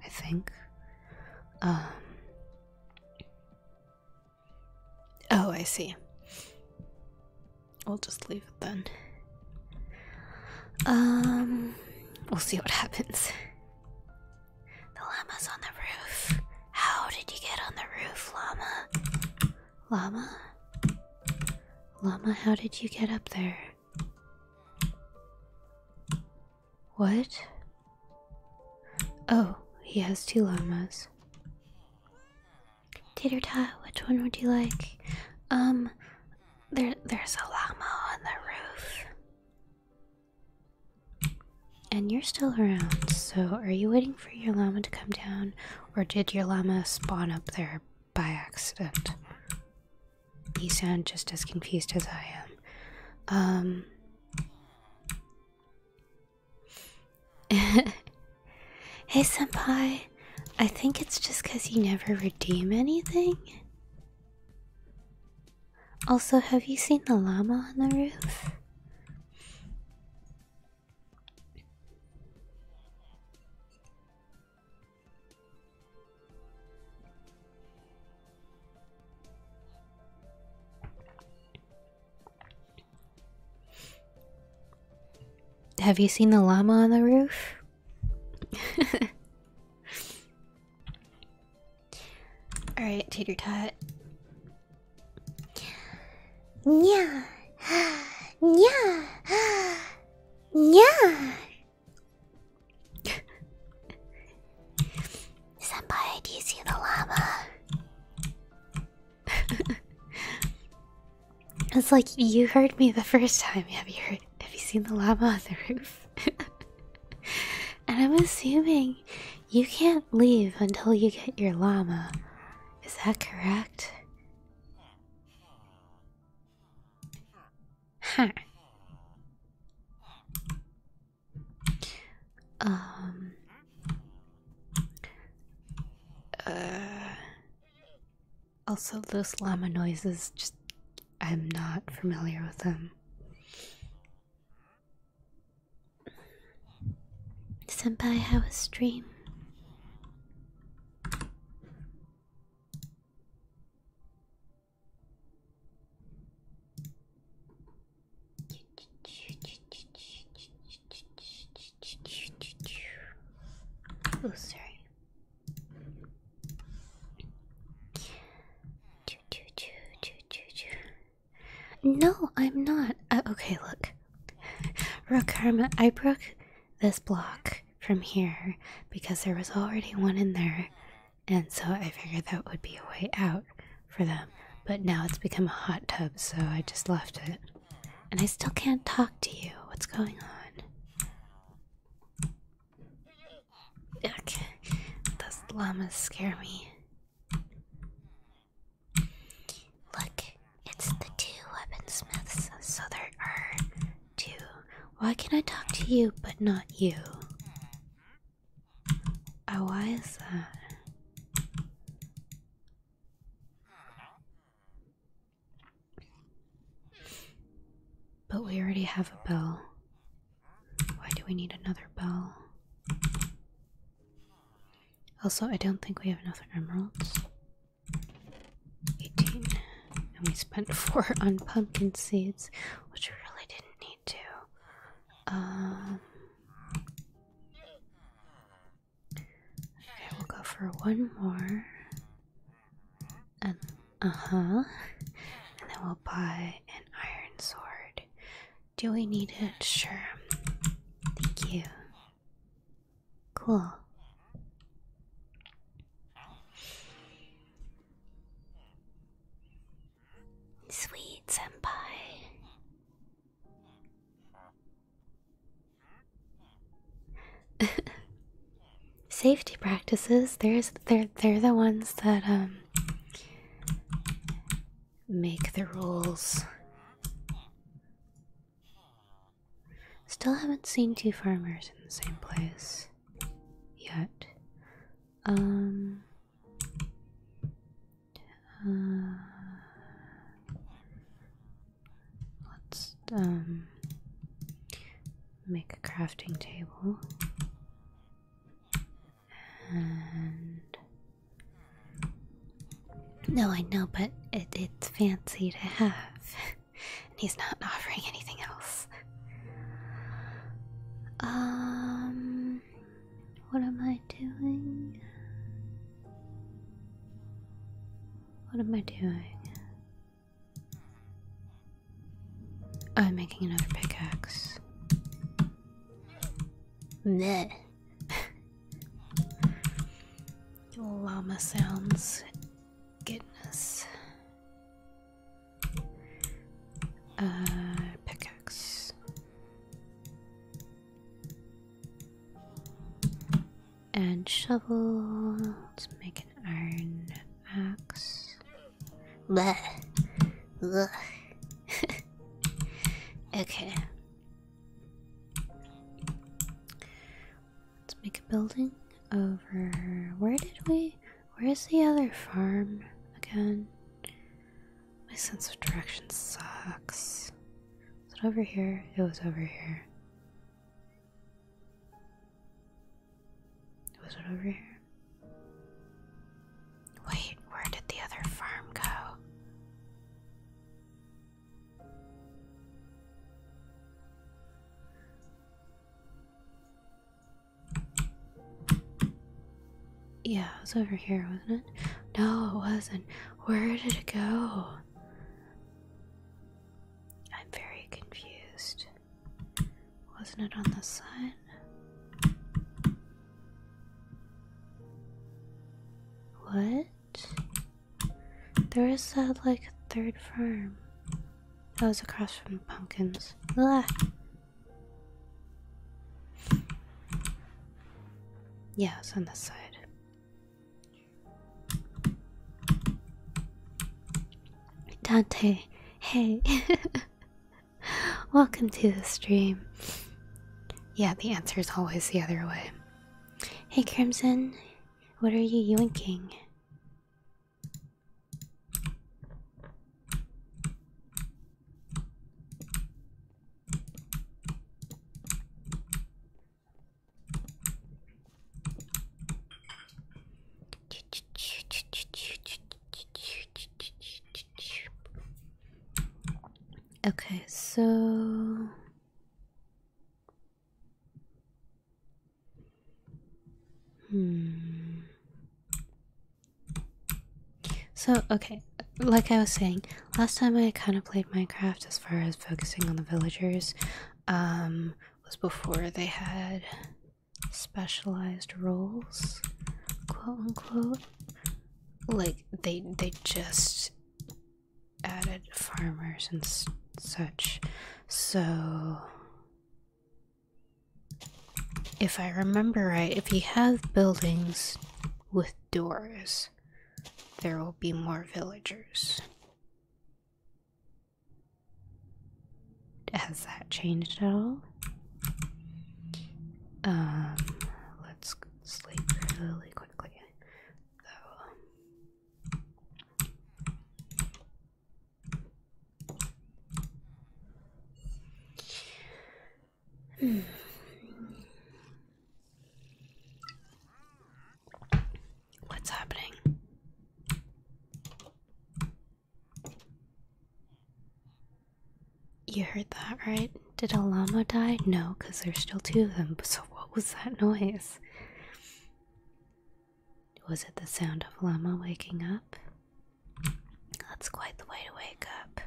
I think. Um, oh, I see. We'll just leave it then. Um, we'll see what happens. The llama's on the roof. How did you get on the roof, llama? Llama? Llama, how did you get up there? What? Oh, he has two llamas. Tater Tot, which one would you like? Um, there, there's a llama on the roof. And you're still around, so are you waiting for your llama to come down, or did your llama spawn up there by accident? You sound just as confused as I am. Um, hey, Senpai, I think it's just because you never redeem anything. Also, have you seen the llama on the roof? Have you seen the llama on the roof? Alright, tater tot. Yeah. Yeah. Yeah. Senpai, do the llama? it's like you heard me the first time. Have you heard? Have you seen the llama on the roof? and I'm assuming you can't leave until you get your llama. Is that correct? Huh. Um. Uh. Also, those llama noises just I'm not familiar with them. Senpai, how a stream? Oh, sorry. No, I'm not. Uh, okay, look. Rook Karma, I broke this block from here because there was already one in there, and so I figured that would be a way out for them. But now it's become a hot tub, so I just left it. And I still can't talk to you. What's going on? Okay, those llamas scare me. Look, it's the two weaponsmiths, so there are two. Why can I talk to you but not you? Oh, why is that? But we already have a bell. Why do we need another bell? Also, I don't think we have enough emeralds. 18. And we spent 4 on pumpkin seeds, which we really didn't need to. Um. Okay, we'll go for one more. And uh huh. And then we'll buy an iron sword. Do we need it? Sure. Thank you. Cool. Sweet senpai. Safety practices. There's they're they're the ones that um make the rules. Still haven't seen two farmers in the same place yet. Um. Uh, let's um make a crafting table no, I know, but it's fancy to have. and he's not offering anything else. Um, what am I doing? What am I doing? I'm making another pickaxe. Meh. Llama sounds. Goodness. Uh, pickaxe. And shovel. Let's make an iron Axe. Bleh. Bleh. okay. Let's make a building over. Where did we? Where is the other farm again? My sense of direction sucks. Is it over here? It was over here. Was it over here? Wait, where did the other farm go? Yeah, it was over here, wasn't it? No, it wasn't. Where did it go? I'm very confused. Wasn't it on the side? What? There is that like a third farm. That was across from ah. the pumpkins. Blah. Yeah, it's on this side. Dante, hey. Welcome to the stream. Yeah, the answer is always the other way. Hey Crimson, what are you yoinking? Okay, so hmm. So okay, like I was saying, last time I kind of played Minecraft as far as focusing on the villagers um was before they had specialized roles, quote unquote. Like they they just added farmers and such. So if I remember right, if you have buildings with doors, there will be more villagers. Has that changed at all? Um, let's sleep really quickly, though. Um, hmm. What's happening? You heard that, right? Did a llama die? No, because there's still two of them. So, what was that noise? Was it the sound of llama waking up? That's quite the way to wake up.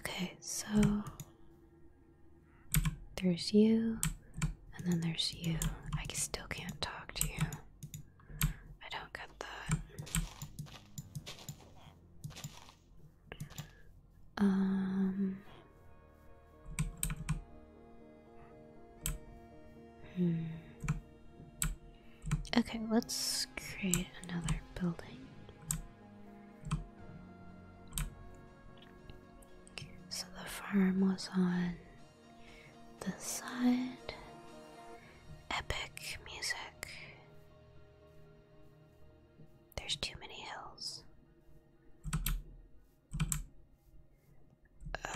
Okay, so there's you. And then there's you. I still can't talk to you. I don't get that. Um. Hmm. Okay, let's create another building. So the farm was on the side, epic music. There's too many hills.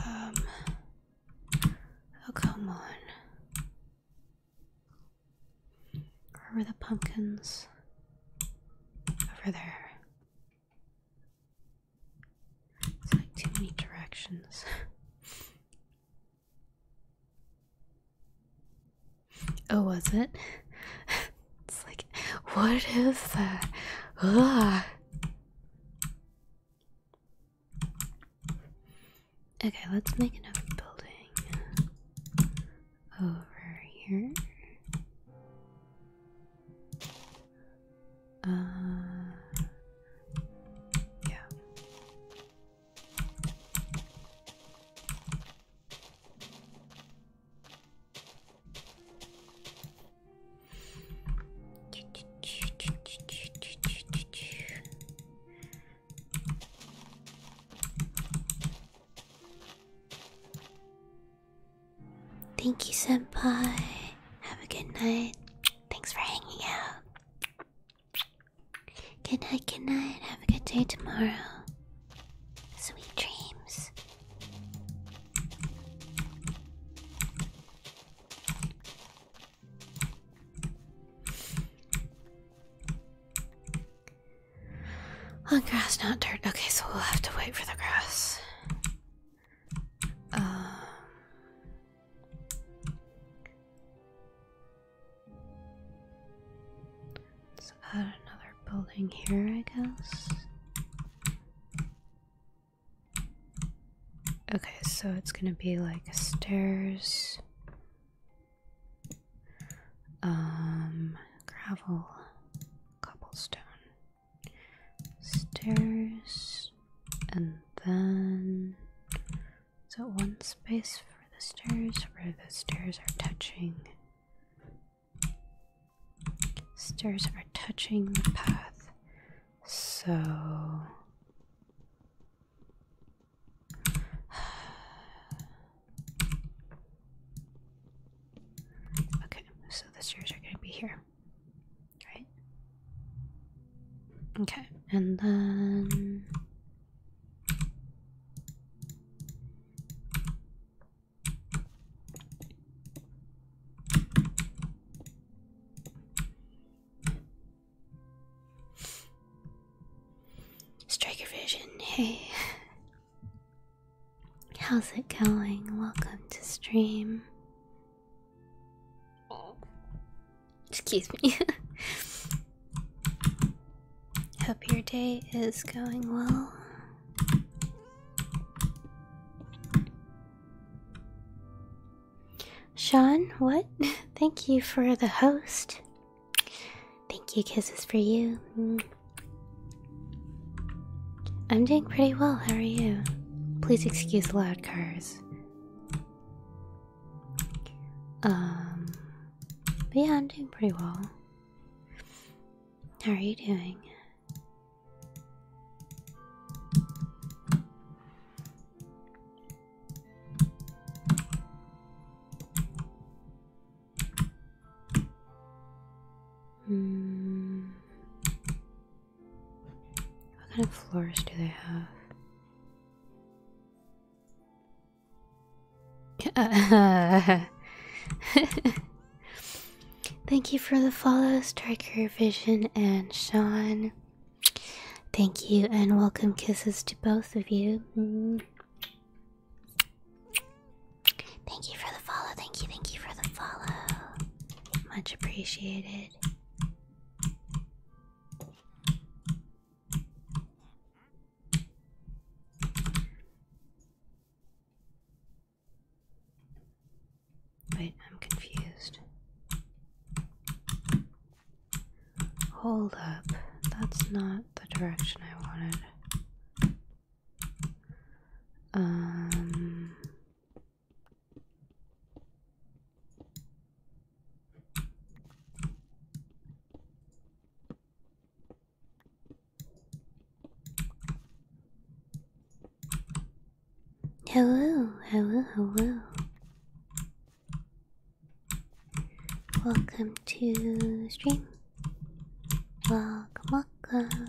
Um, oh, come on. Where are the pumpkins? Over there. It's like too many directions. oh, was it? it's like, what is that? Ugh. Okay, let's make another building over here. Uh, yeah. Thank you, Senpai. Have a good night. Thanks for hanging out. Good night, good night. Have a good day tomorrow. Sweet dreams. On grass, not dirt. Okay, so we'll have to wait for the grass let's add another building here, I guess. Okay, so it's gonna be like stairs, um, gravel, cobblestone stairs and then so one space for the stairs where the stairs are touching stairs are touching the path so okay so the stairs are going to be here right? Okay, and then strike Striker Vision, hey. How's it going? Welcome to stream. Excuse me. Hope your day is going well. Sean, what? Thank you for the host. Thank you, kisses for you. Mm. I'm doing pretty well, how are you? Please excuse loud cars this. Um, yeah, I'm doing pretty well. How are you doing? Mm. What kind of floors do they have? Thank you for the follow, Striker Vision and Sean. Thank you and welcome kisses to both of you. Thank you for the follow. Thank you. Thank you for the follow. Much appreciated. Wait, I'm confused. Hold up, that's not the direction I wanted. Um, Hello, hello, hello. Welcome to stream. Welcome, welcome.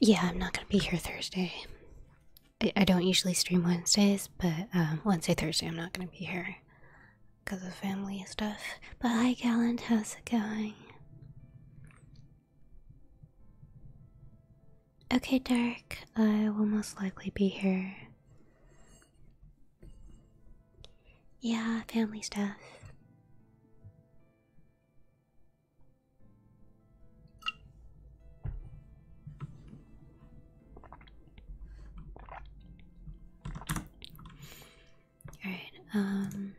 Yeah, I'm not gonna be here Thursday. I, don't usually stream Wednesdays, but um, Wednesday, Thursday, I'm not gonna be here because of family stuff. But hi, Gallant, how's it going? Okay, Dark, I will most likely be here. Yeah, family stuff. All right. Um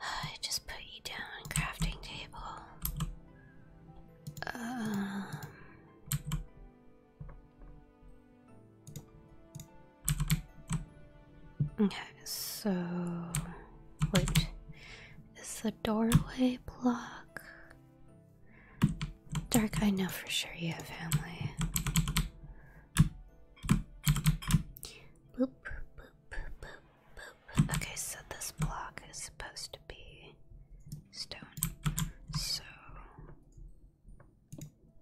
I just put you down on crafting table. Um, okay, so wait. Is the doorway block? Dark, I know for sure you have family. Okay, so this block is supposed to be stone. So.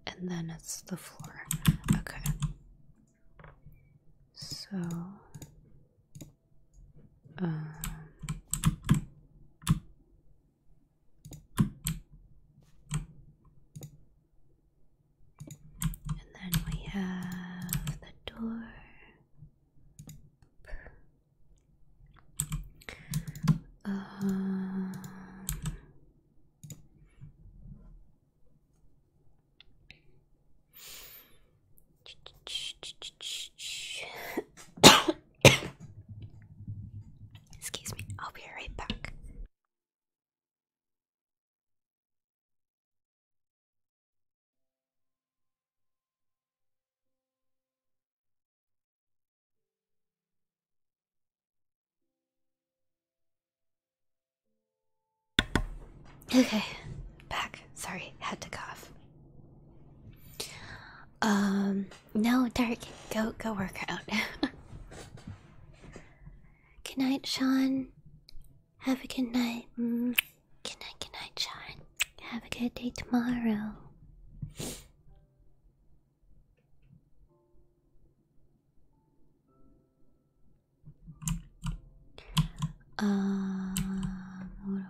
And then it's the floor. Okay. So. Um, and then we have the door. Um, Excuse me, I'll be right back. Okay, back. Sorry, had to cough. Um no, Dark, go go work out. good night, Sean. Have a good night. Mm. Good night, good night, Sean. Have a good day tomorrow. Um, what do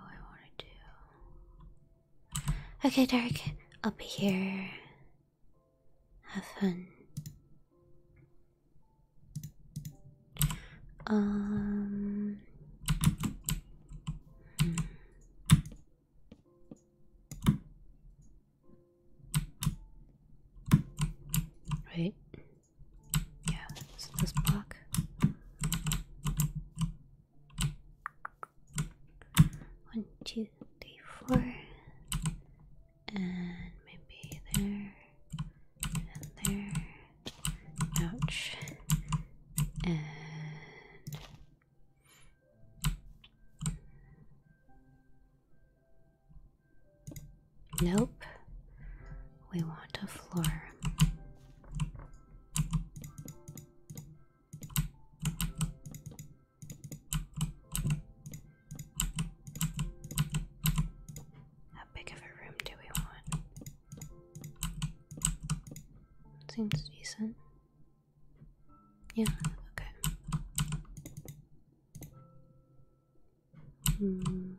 I want to do? Okay, Dark, I'll be here have fun. Um. Hmm. Yeah, this block. One, two, three, four, and maybe there, and there. Ouch. And nope. We want a floor. How big of a room do we want? Seems decent. Yeah, okay. Hmm.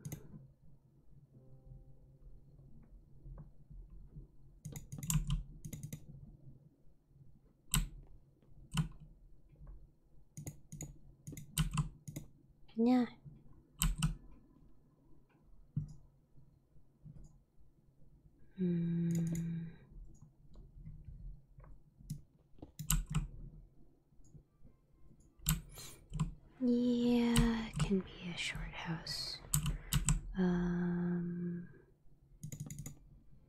Yeah. Mm. Yeah, it can be a short house. Um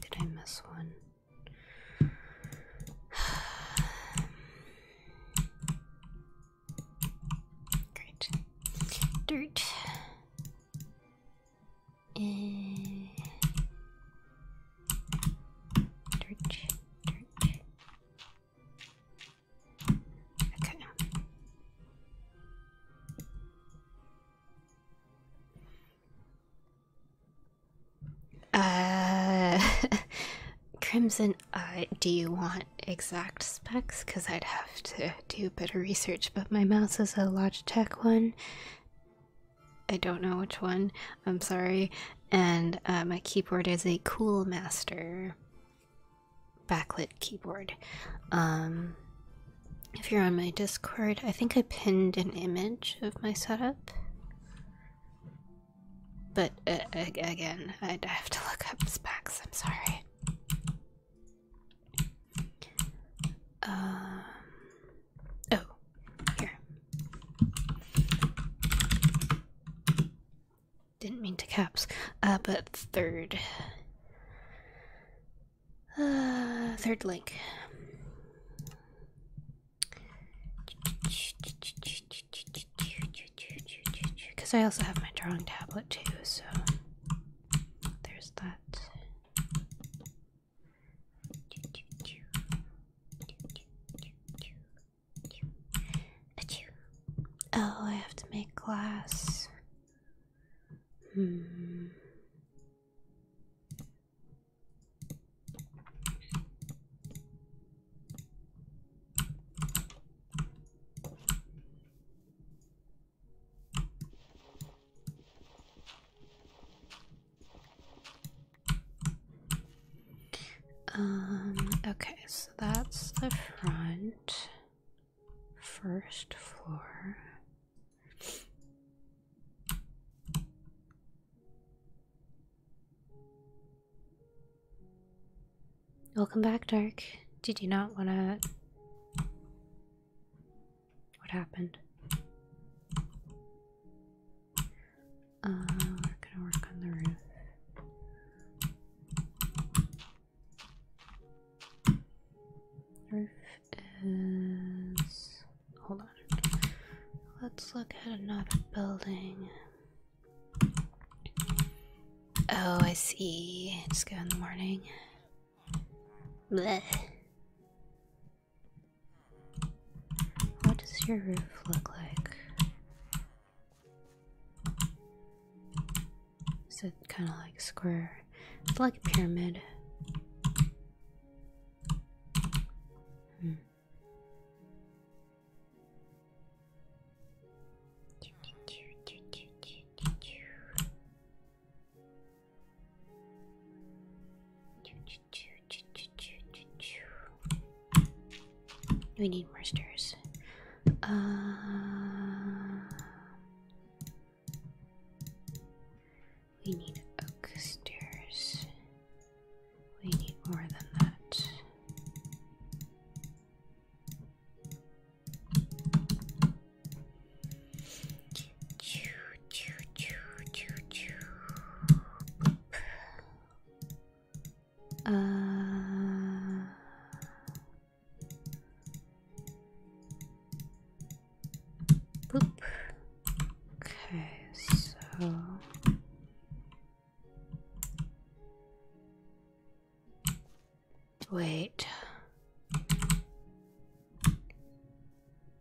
Did I miss one? Great. Dirt. Uh, Crimson, uh, do you want exact specs? Because I'd have to do better research, but my mouse is a Logitech one. I don't know which one. I'm sorry. And uh, my keyboard is a Cool Master backlit keyboard. Um, if you're on my Discord, I think I pinned an image of my setup. But uh, again, i have to look up specs. I'm sorry. Um, Oh, here. Didn't mean to caps. Uh, but third. Uh, third link. Because I also have my drawing tablet too, so there's that. Oh, I have to make glass. Hmm. Um, okay, so that's the front first floor. Welcome back, Dark. Did you not want to? What happened? we're ah, gonna work on the roof. Roof is. Hold on. Let's look at another building. Oh, I see. Just go in the morning. What does your roof look like? Is it kind of like square? It's like a pyramid. Hmm. We need more stairs. Uh, we need stairs. We need more than that choo, choo, choo, choo. Uh, boop. Okay, so wait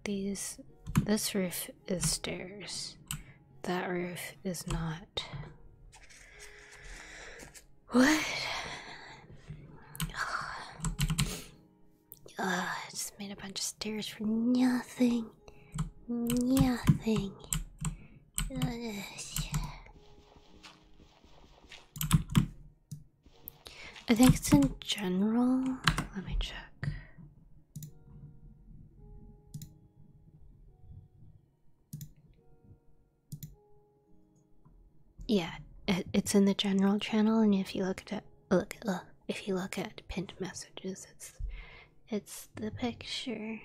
these this roof is stairs. That roof is not. What? Ugh, I just made a bunch of stairs for nothing. Nothing. I think it's in general. Let me check. Yeah, it's in the general channel, and if you look at look if you look at pinned messages, it's it's the picture.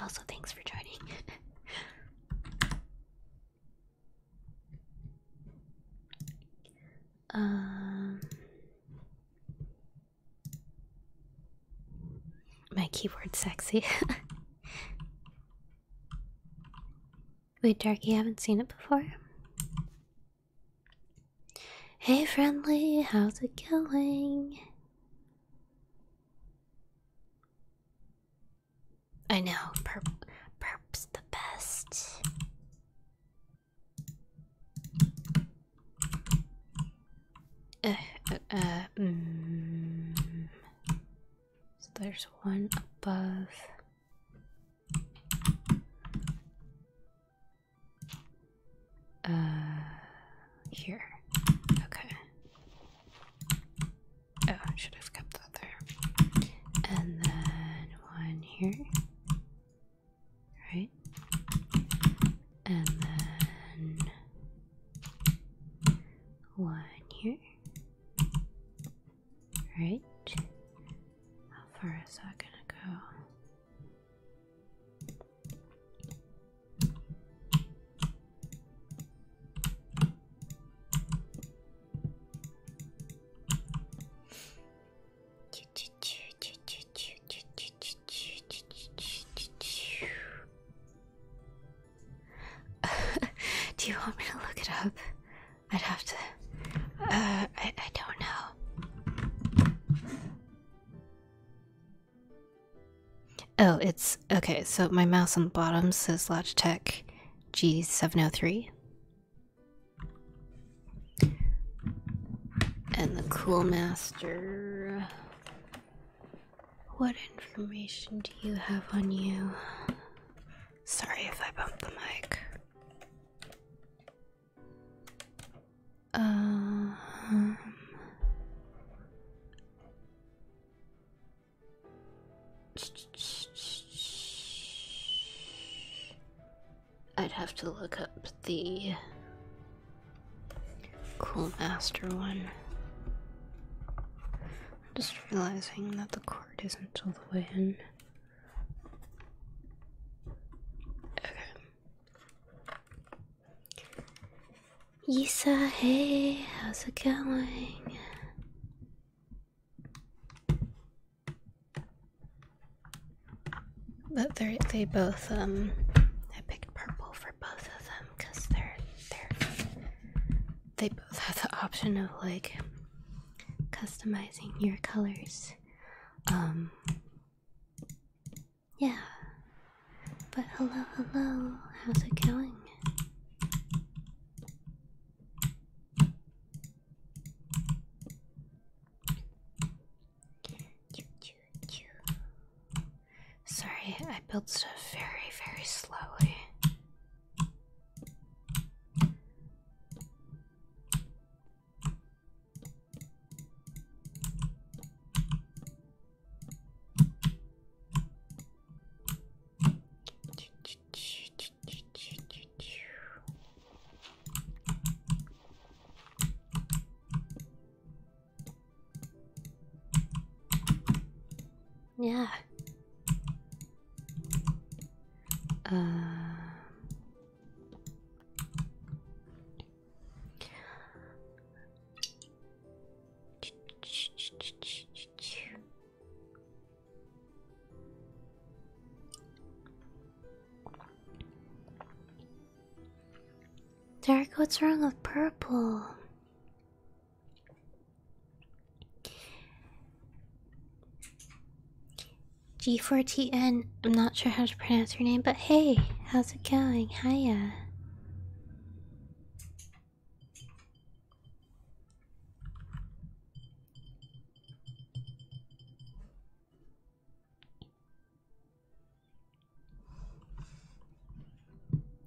Also, thanks for joining. um, my keyboard sexy. Wait, Darky, I haven't seen it before. Hey friendly, how's it going? I know, perp perp's the best. Uh, uh, uh, mm. So there's one above. Uh, here. Okay. Oh, should have kept that there. And then one here. Right? And then one here. Right? How far is that gonna go? Do you want me to look it up? I'd have to. Uh, I, I don't know. Oh, it's okay. So my mouse on the bottom says Logitech G703. And the Cool Master. What information do you have on you? Sorry if I bumped the mic. Uh-huh. I'd have to look up the Cool Master one. just realizing that the card isn't all the way in. Okay. You say, hey, how's it going? But they they both um I picked purple for both of them because they're they're they both have the option of like customizing your colors. Um Yeah. But hello, hello. How's it going? Sorry, I built stuff very, very slowly. Yeah. Uh, Dark. what's wrong with purple? G4TN. I'm not sure how to pronounce your name, but hey, how's it going? Hiya.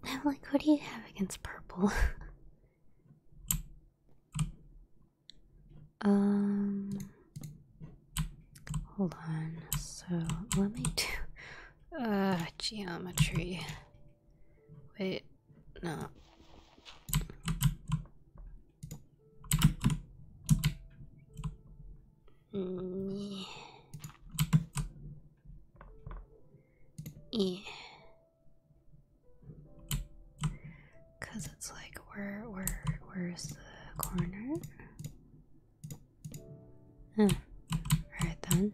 I'm like, what do you have against purple? Um, hold on. So let me do uh geometry. Wait, no. Mm. Yeah. Cause it's like where where where's the corner? Huh. Alright then.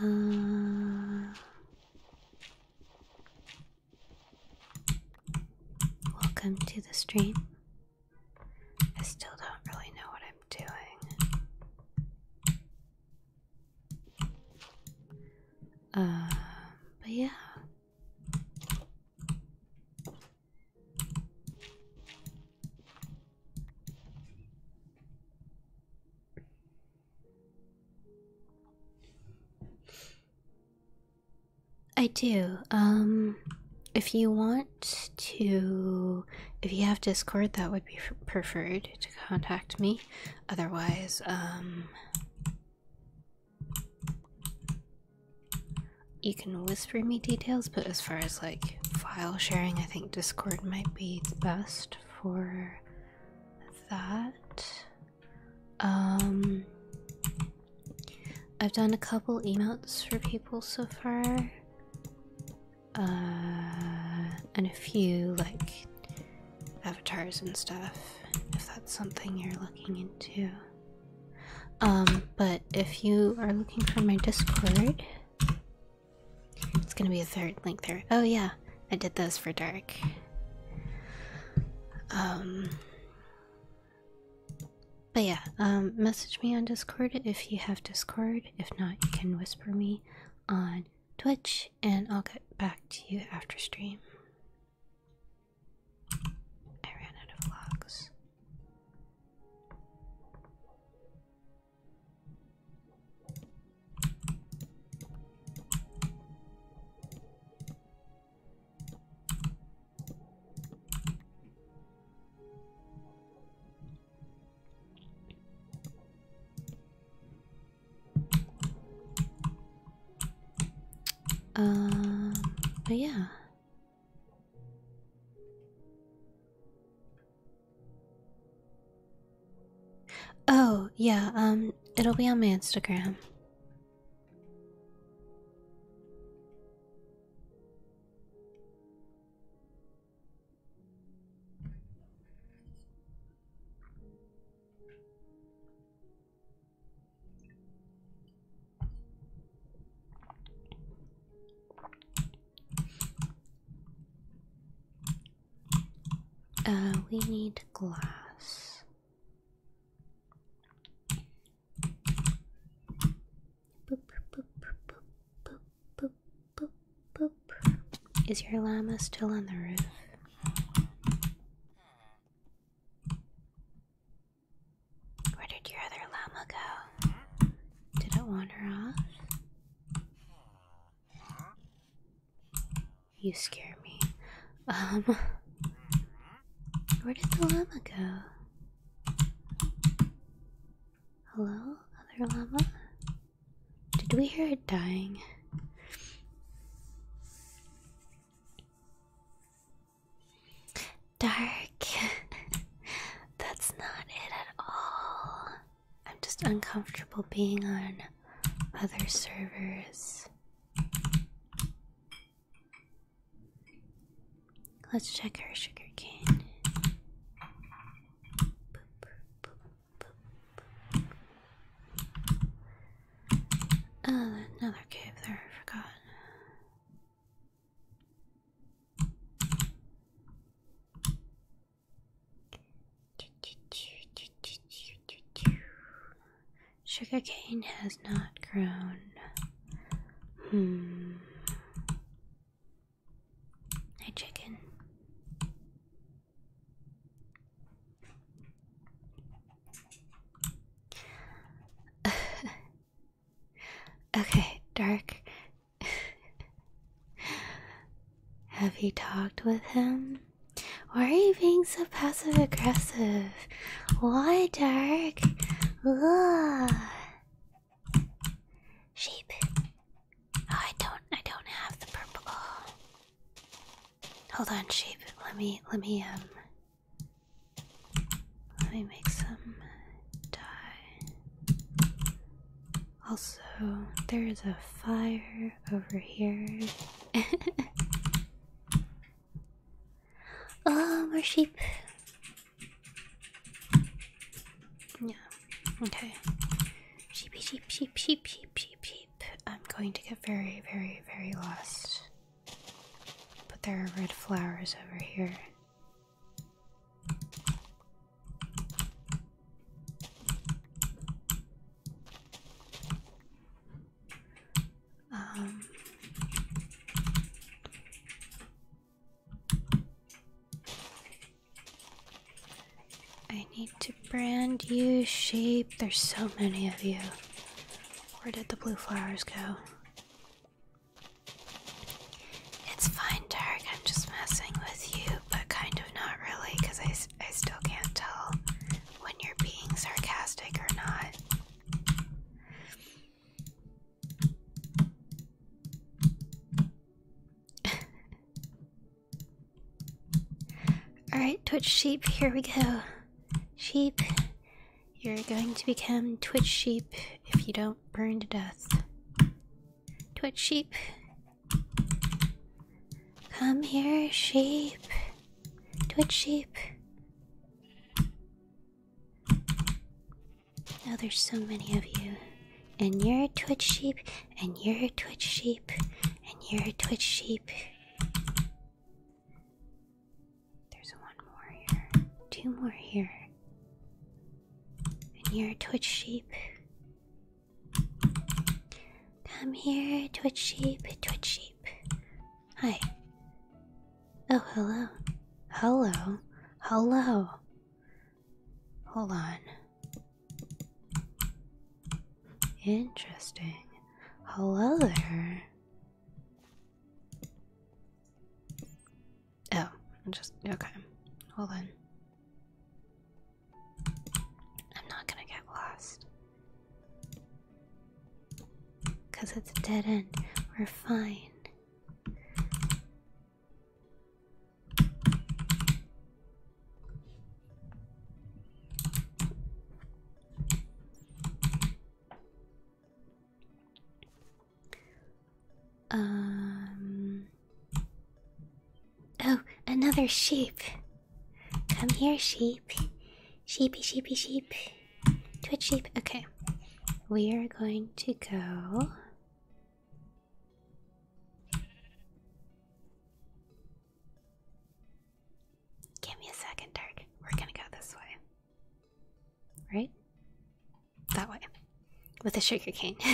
Uh, welcome to the stream. I still don't really know what I'm doing. Uh, but yeah. I do. Um, if you want to, if you have Discord, that would be preferred to contact me. Otherwise, um, you can whisper me details, but as far as like file sharing, I think Discord might be best for that. Um, I've done a couple emails for people so far, uh, and a few like avatars and stuff if that's something you're looking into. Um, but if you are looking for my Discord, it's gonna be a third link there. Oh, yeah, I did those for Dark. Um, but yeah, um, message me on Discord if you have Discord. If not, you can whisper me on Twitch and I'll get back to you after stream. I ran out of locks. Um, but yeah. Oh, yeah, um, it'll be on my Instagram. Uh, we need glass. Boop, boop, boop, boop, boop, boop, boop. Is your llama still on the roof? Where did your other llama go? Did it wander off? You scare me. Um, where did the llama go? Hello, other llama? Did we hear it dying? Dark. That's not it at all. I'm just uncomfortable being on other servers. Let's check our sugar cane. Oh, another cave there, I forgot. cane has not grown. Hmm. Hey, chicken. okay, Dark. Have you talked with him? Why are you being so passive aggressive? Why, Dark? Ugh. Sheep. Oh, I don't. I don't have the purple. Hold on, sheep. Let me. Let me. Um. Let me make some dye. Also, there is a fire over here. oh, more sheep. Yeah. Okay. Sheepy, sheep, sheep, sheep, sheep, sheep, sheep. I'm going to get very, very, very lost. But there are red flowers over here. Um, I need to brand you, shape. There's so many of you. Where did the blue flowers go? It's fine, Dark. I'm just messing with you, but kind of not really, because I, I still can't tell when you're being sarcastic or not. Alright, Twitch sheep, here we go. Sheep, you're going to become Twitch sheep if you don't burn to death. Twitch sheep. Come here, sheep. Twitch sheep. oh, there's so many of you. And you're a Twitch sheep, and you're a Twitch sheep, and you're a Twitch sheep. There's one more here. Two more here. And you're a Twitch sheep. Come here, Twitch sheep, Twitch sheep. Hi. Oh, hello. Hello. Hello. Hold on. Interesting. Hello there. Oh, I'm just okay. Well then, I'm not gonna get lost because it's a dead end. We're fine. Um. Oh, another sheep. Come here, sheep. Sheepy, sheepy, sheep. Twitch sheep. Okay. We are going to go. Give me a second, Dark. We're gonna go this way. Right? That way. With a sugar cane.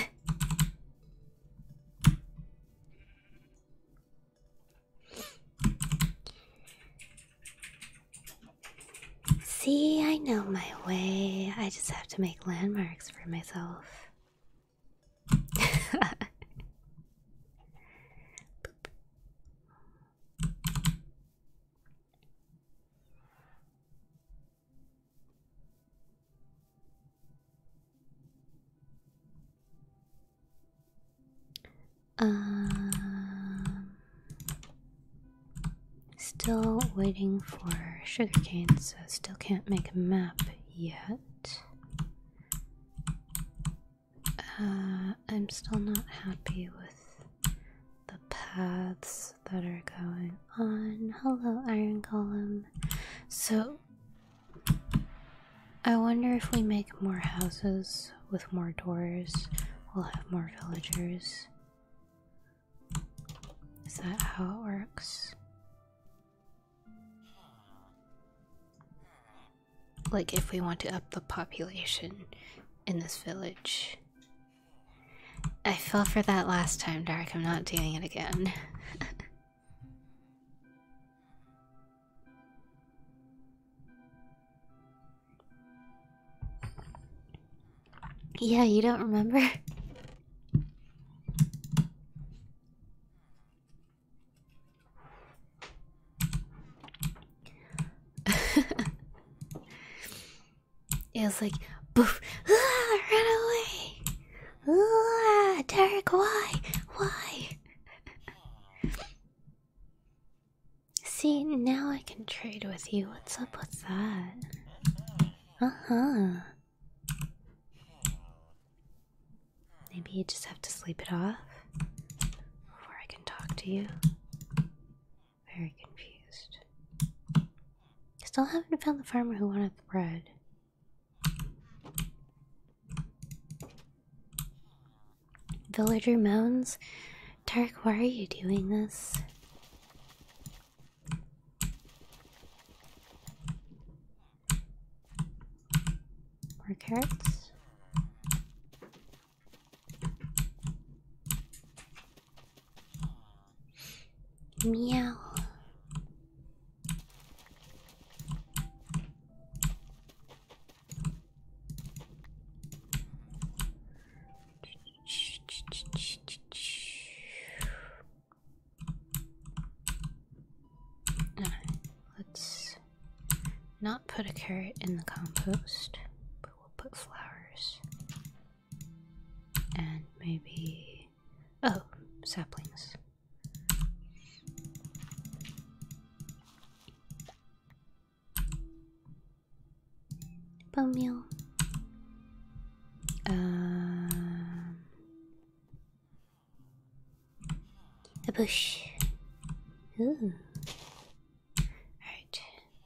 See, I know my way. I just have to make landmarks for myself. Um, still waiting for sugarcane, so still can't make a map yet. Uh, I'm still not happy with the paths that are going on. Hello, Iron Column. So, I wonder if we make more houses with more doors, we'll have more villagers. Is that how it works? like if we want to up the population in this village. I fell for that last time, Derek. I'm not doing it again. yeah, you don't remember? it was like, boof, ah, run away, ah, Derek, why, why? See, now I can trade with you. What's up with that? Uh huh. Maybe you just have to sleep it off before I can talk to you. Very confused. Still haven't found the farmer who wanted the bread. Villager moans. Dark. why are you doing this? More carrots. Meow. let's not put a carrot in the compost, we'll put flowers. And maybe. Oh, saplings. Bone meal. Um, a bush. Ooh. Alright.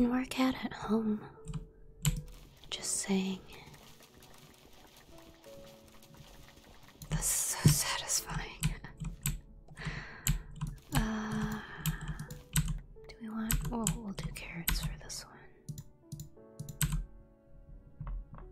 You can work out at home. Just saying. This is so satisfying. Uh, do we want? oh, we'll do carrots for this one.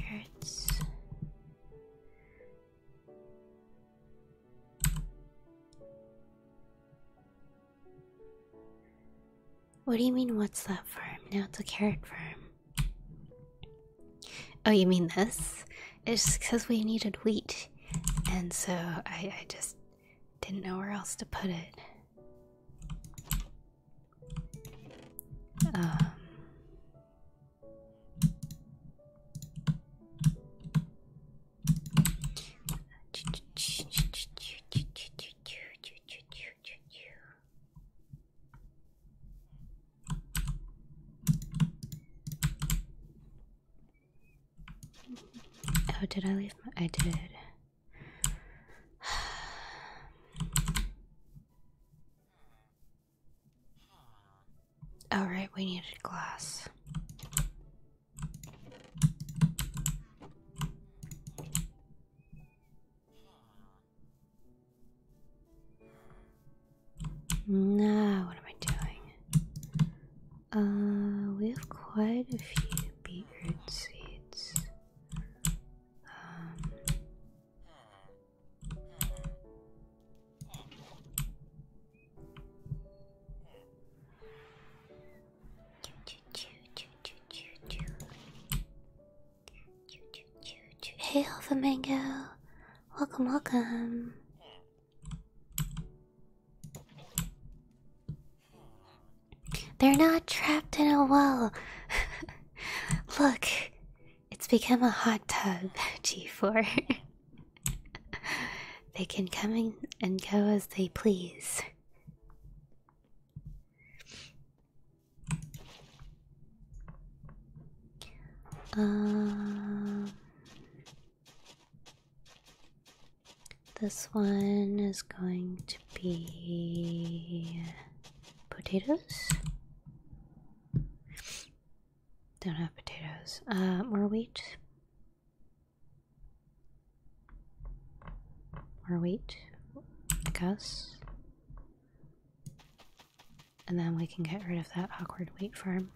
Carrots. What do you mean, what's that farm? Now it's a carrot farm. Oh, you mean this? It's because we needed wheat, and so I, just didn't know where else to put it. Um. Oh, did I leave my? I did. All right, we needed glass. Now, what am I doing? Uh, we have quite a few beetroot seeds. Um, Hey, Alpha Mango. Welcome, welcome. They're not trapped in a well. Look, it's become a hot tub, G4. they can come in and go as they please. Um, this one is going to be potatoes. Don't have potatoes. Uh, more wheat. More wheat, I guess. And then we can get rid of that awkward wheat farm.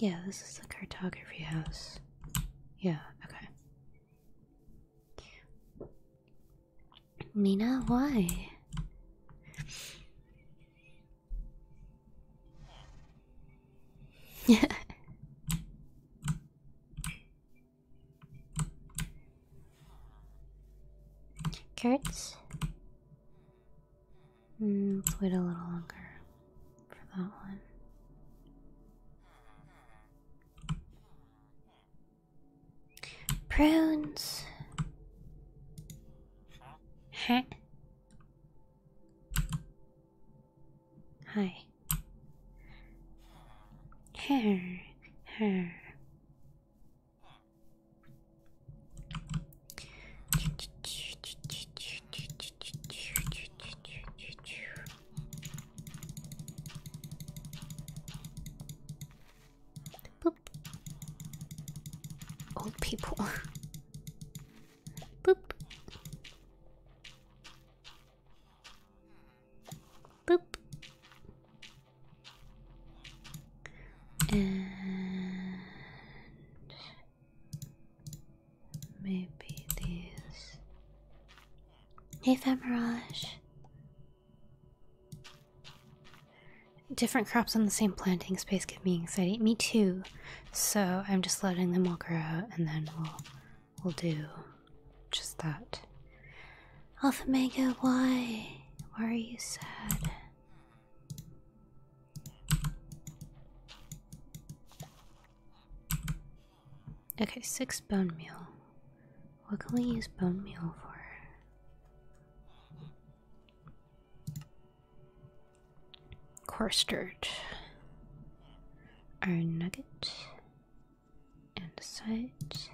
Yeah, this is the cartography house. Yeah, okay. Mina, why? Yeah. Kurtz. Mm, let's wait a little longer. Prunes. Huh? Hi. Hair. Hair. Old people. Boop. Boop. And Maybe these. Hey, Different crops on the same planting space get me anxiety. Me too. So I'm just letting them all grow out, and then we'll we'll do just that. Alpha Mega, why? Why are you sad? Okay, six bone meal. What can we use bone meal for? Coarse dirt, iron nugget, and the sight.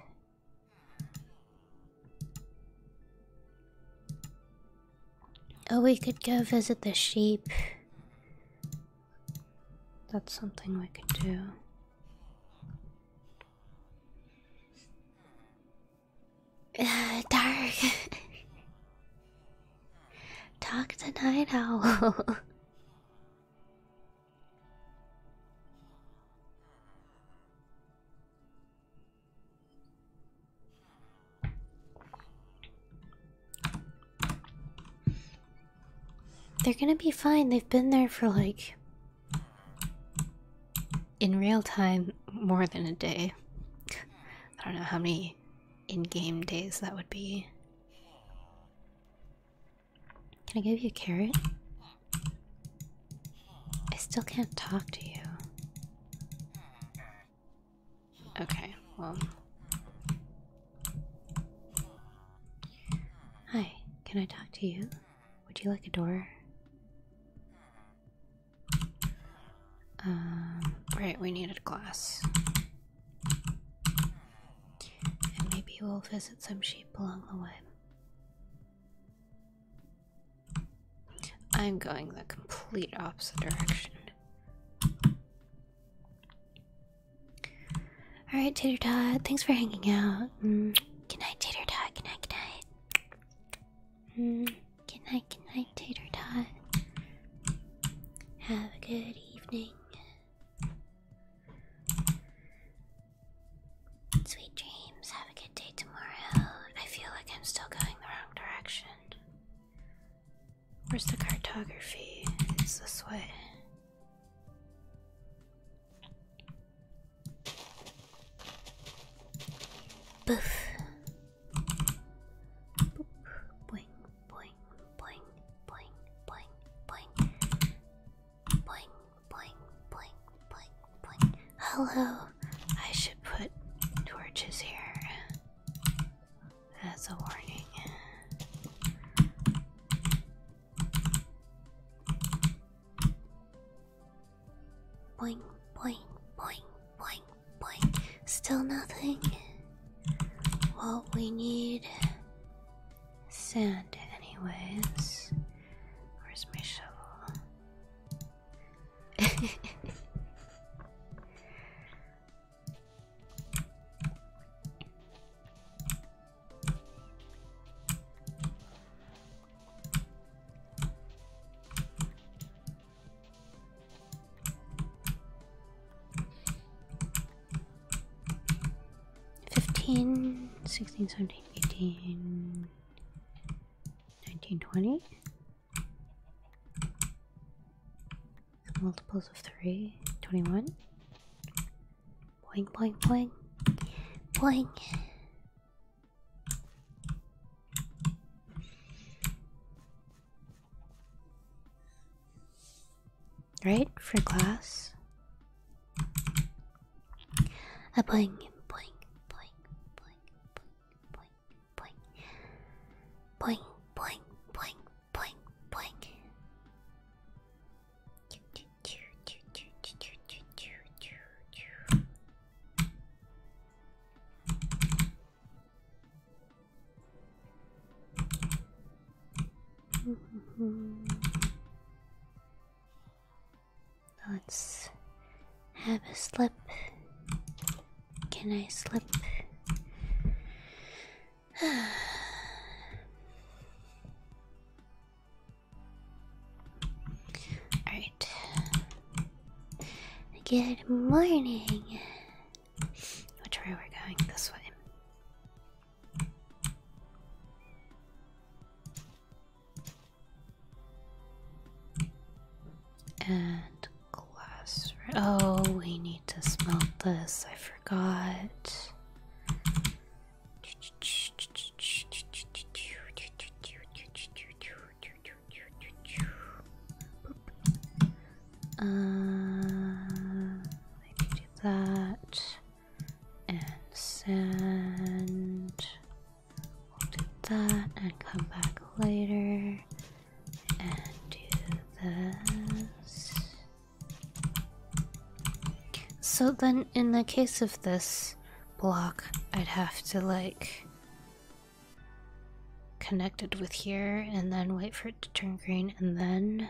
Oh, we could go visit the sheep that's something we could do. Uh, dark. Talk to Night Owl. They're gonna be fine. They've been there for like. In real time, more than a day. I don't know how many in game days that would be. Can I give you a carrot? I still can't talk to you. Okay, well. Hi, can I talk to you? Would you like a door? Um, right, we needed a glass. And maybe we'll visit some sheep along the way. I'm going the complete opposite direction. Alright, Tater Tot, thanks for hanging out. Good night, Tater Tot. Good night, good night. Good night, good night, Tater Tot. Have a good evening. Sweet dreams, have a good day tomorrow. I feel like I'm still going the wrong direction. Where's the cartography? It's this way. Boof. boing, boing, boing, boing, boing. Boing, boing, boing, boing, boing. Hello. I should put torches here. That's a warning. Boing, boing, boing, boing, boing. Still nothing. What we need sand, anyways. Where's my shovel? 15, 16, 17, 18, 19, 20 multiples of 3, 21. Boing, boing, boing. Boing. Right? For glass. A boing, boing, boing, boing, boing, boing, boing. Boing, boing, boing, boing, boing. Let's have a slip. Can I slip? Alright. Good morning. Which way we're we going? This way. And glass. Oh, we need to smelt this. I forgot. Um, that and send. do that and come back later and do this. So then, in the case of this block, I'd have to like connect it with here and then wait for it to turn green and then.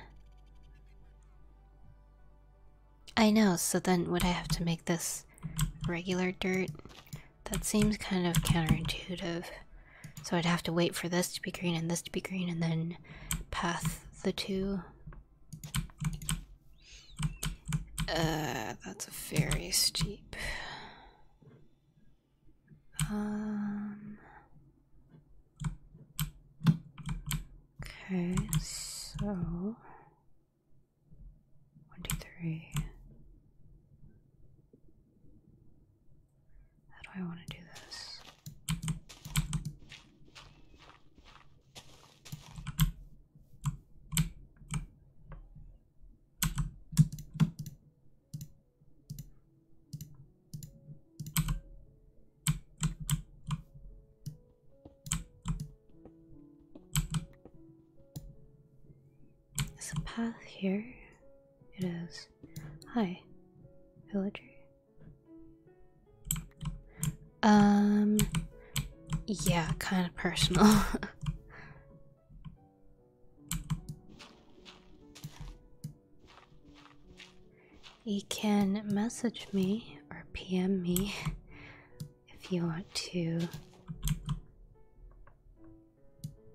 I know, so then would I have to make this regular dirt? That seems kind of counterintuitive. So I'd have to wait for this to be green and this to be green and then path, the two. Uh, that's very steep. Um. Okay, so one, two, three. How do I want to do this? Is a path here? It is. Hi, villager. Um, yeah, kind of personal. you can message me or PM me if you want to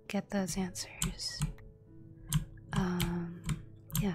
get those answers. Um, yeah.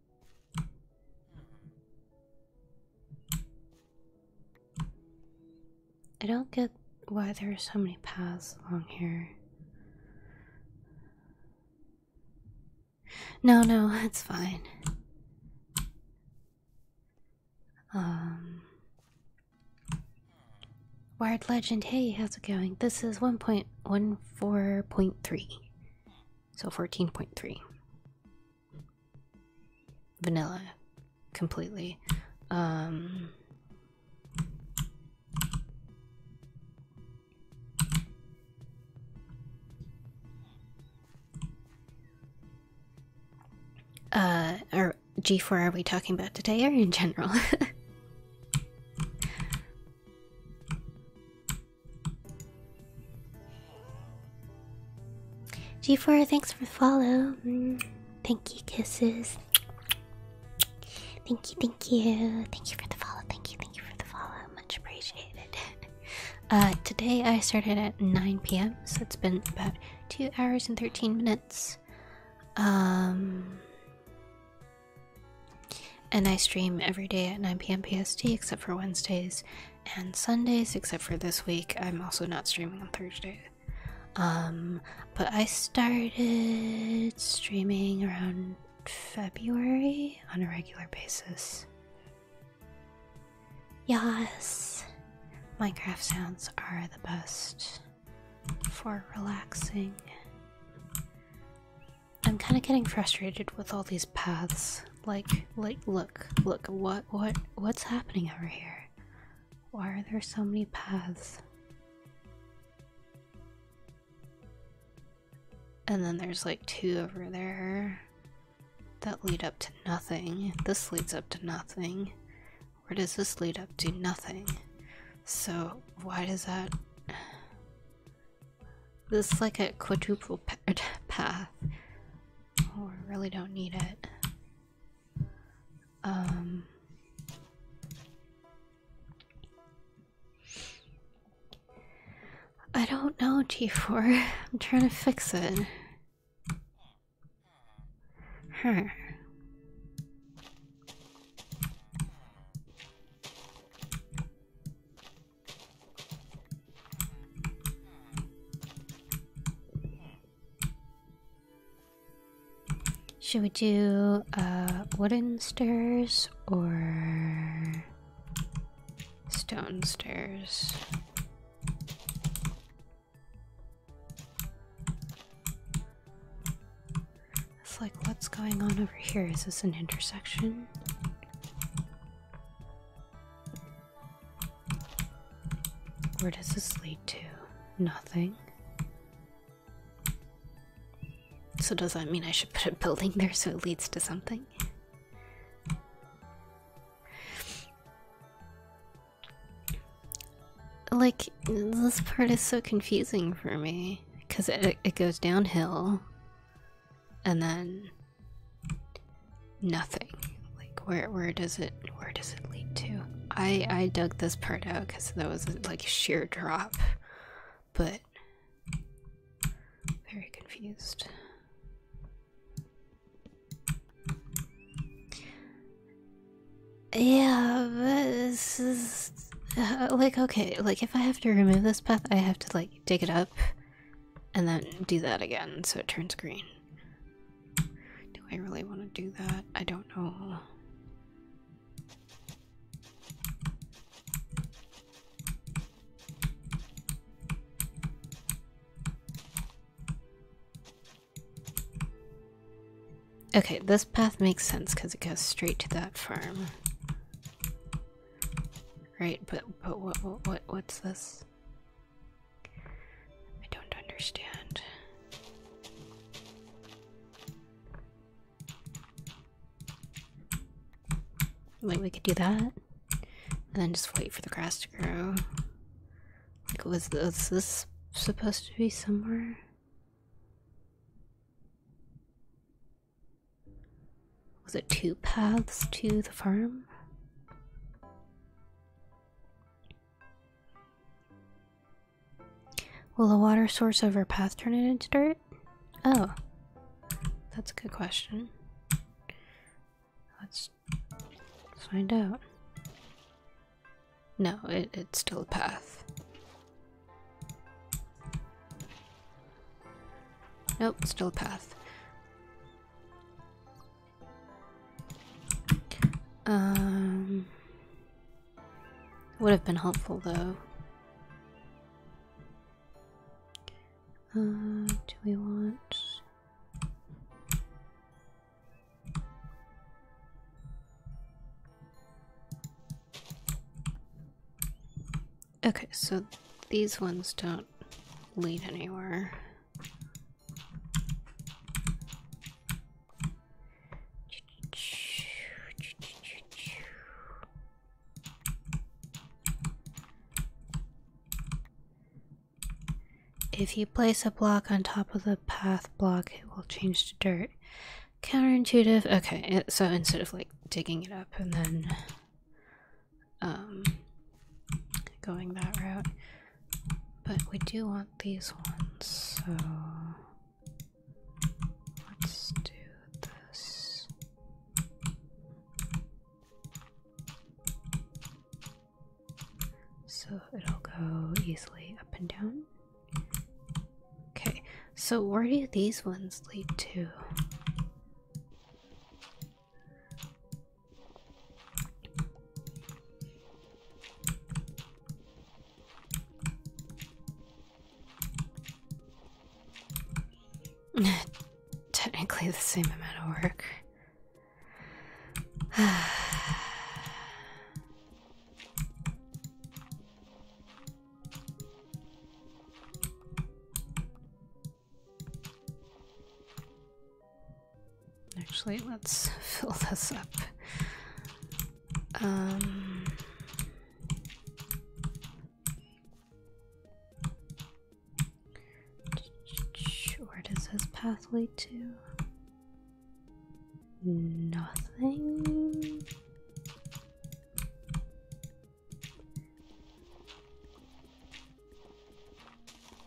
I don't get why there are so many paths along here. No, no, that's fine. Um, Wired Legend, hey, how's it going? This is 1.14.3, so 14.3 vanilla completely. Um, uh, or G4 are we talking about today or in general? G4, thanks for follow. Mm, thank you, kisses. Thank you, thank you. Thank you for the follow. Thank you, thank you for the follow. Much appreciated. Uh, today I started at 9 p.m., so it's been about 2 hours and 13 minutes. Um, and I stream every day at 9 p.m. PST except for Wednesdays and Sundays, except for this week. I'm also not streaming on Thursday. Um, but I started streaming around February on a regular basis. Yes, Minecraft sounds are the best for relaxing. I'm kind of getting frustrated with all these paths. Like, like, look, look, what, what, what's happening over here? Why are there so many paths? And then there's like two over there that lead up to nothing. This leads up to nothing. Where does this lead up to? Nothing. So, why does that. This is like a quadruple er, path. Oh, I really don't need it. Um. I don't know, T 4 I'm trying to fix it. Huh. Should we do uh, wooden stairs or stone stairs? It's like, what's going on over here? Is this an intersection? Where does this lead to? Nothing. So, does that mean I should put a building there so it leads to something? Like, this part is so confusing for me because it, it goes downhill and then nothing like where where does it where does it lead to i i dug this part out because that was like a sheer drop but very confused yeah this is uh, like okay like if i have to remove this path i have to like dig it up and then do that again so it turns green. Do I really want to do that? I don't know. Okay, this path makes sense because it goes straight to that farm. Right, but but what what what's this? I don't understand. Wait, we could do that, and then just wait for the grass to grow. Like, this, was this supposed to be somewhere? Was it two paths to the farm? Will the water source over path turn it into dirt? Oh, that's a good question. Let's find out. No, it's still a path. Nope, still a path. Um, would have been helpful though. Uh, do we want? Okay, so these ones don't lead anywhere. If you place a block on top of the path block, it will change to dirt. Counterintuitive. Okay, so instead of like digging it up and then um, going that route. But we do want these ones, so let's do this. So it'll go easily up and down. Okay, so where do these ones lead to? Technically the same amount of work. Actually, let's fill this up. Um, where does this path to? Nothing.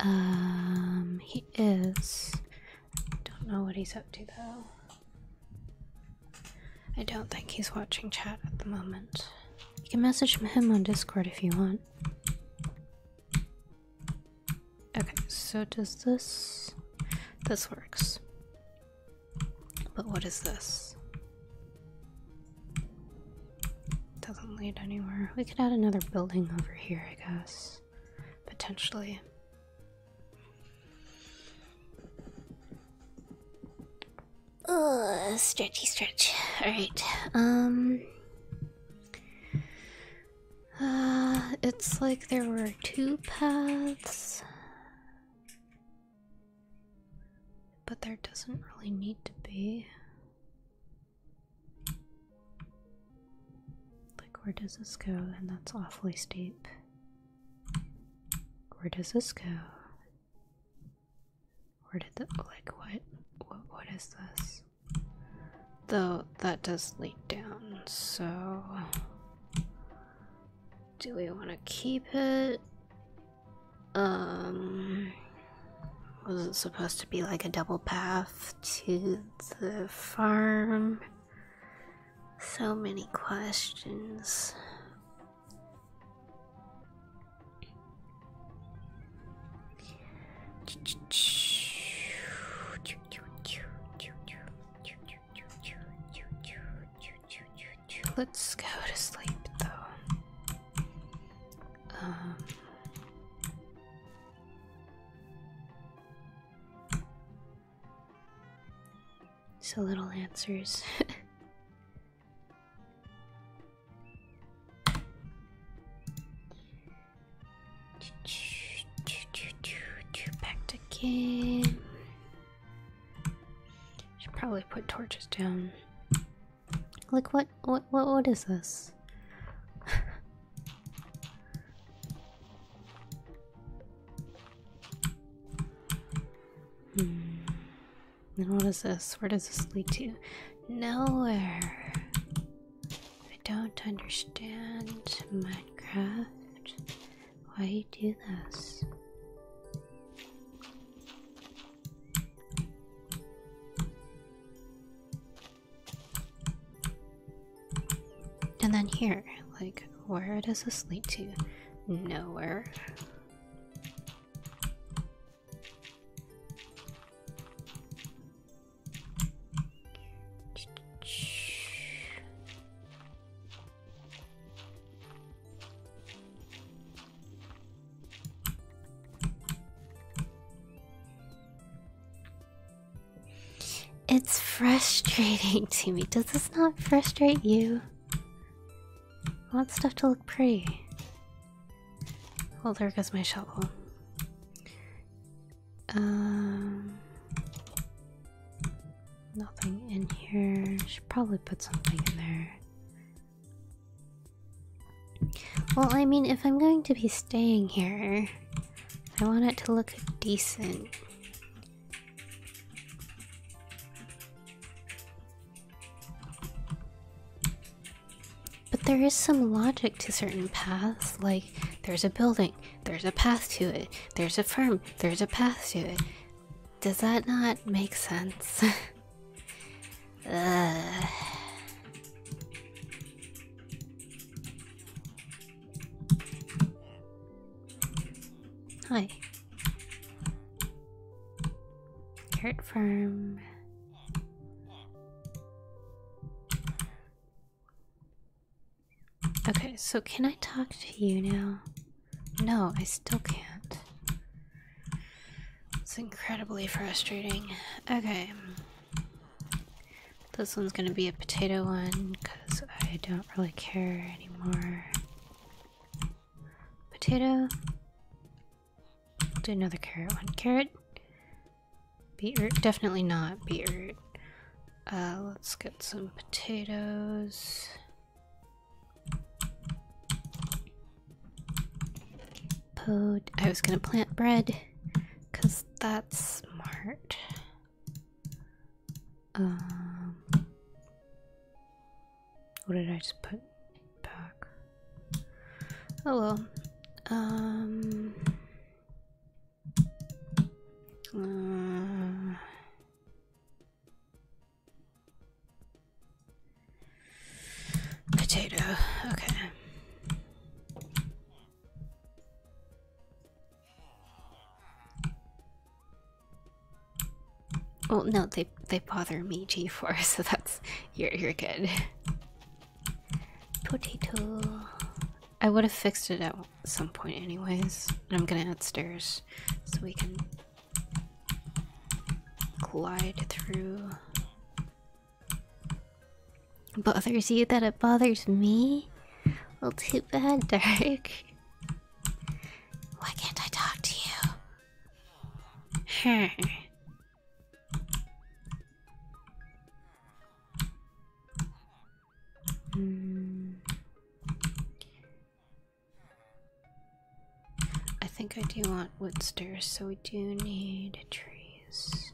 Um, he is. Don't know what he's up to though. I don't think he's watching chat at the moment. You can message him on Discord if you want. Okay, so does this. This works. But what is this? Doesn't lead anywhere. We could add another building over here, I guess. Potentially. Oh, stretchy stretch. Alright, um. Uh, it's like there were two paths. But there doesn't really need to be. Like, where does this go? And that's awfully steep. Where does this go? Where did the like what what what is this? Though that does lead down, so do we want to keep it? Um was it supposed to be like a double path to the farm? So many questions. Let's go to sleep though. Um, so little answers. Back to game. Should probably put torches down. Like what? What? What? What is this? Hmm. Then what is this? Where does this lead to? Nowhere. I don't understand Minecraft. Why you do this? And then here, like, where does this lead to? Nowhere. It's frustrating to me. Does this not frustrate you? I want stuff to look pretty. Well, there goes my shovel. Um, nothing in here. Should probably put something in there. Well, I mean, if I'm going to be staying here, I want it to look decent. But there is some logic to certain paths, like there's a building, there's a path to it, there's a firm, there's a path to it. Does that not make sense? Hi. Carrot farm. Okay, so can I talk to you now? No, I still can't. It's incredibly frustrating. Okay. This one's gonna be a potato one because I don't really care anymore. Potato. Do another carrot one. Carrot. Beetroot. Definitely not beetroot. Uh, let's get some potatoes. Pod. I was gonna plant bread, cause that's smart. Um, what did I just put back? Oh well. Um. Uh, potato. Okay. Oh no, they they bother me G4, so that's you're you're good. Potato. I would have fixed it at some point anyways. I'm gonna add stairs so we can glide through. Bothers you that it bothers me? Well too bad, Dark. Why can't I talk to you? Mm. I think I do want wood stairs, so we do need trees.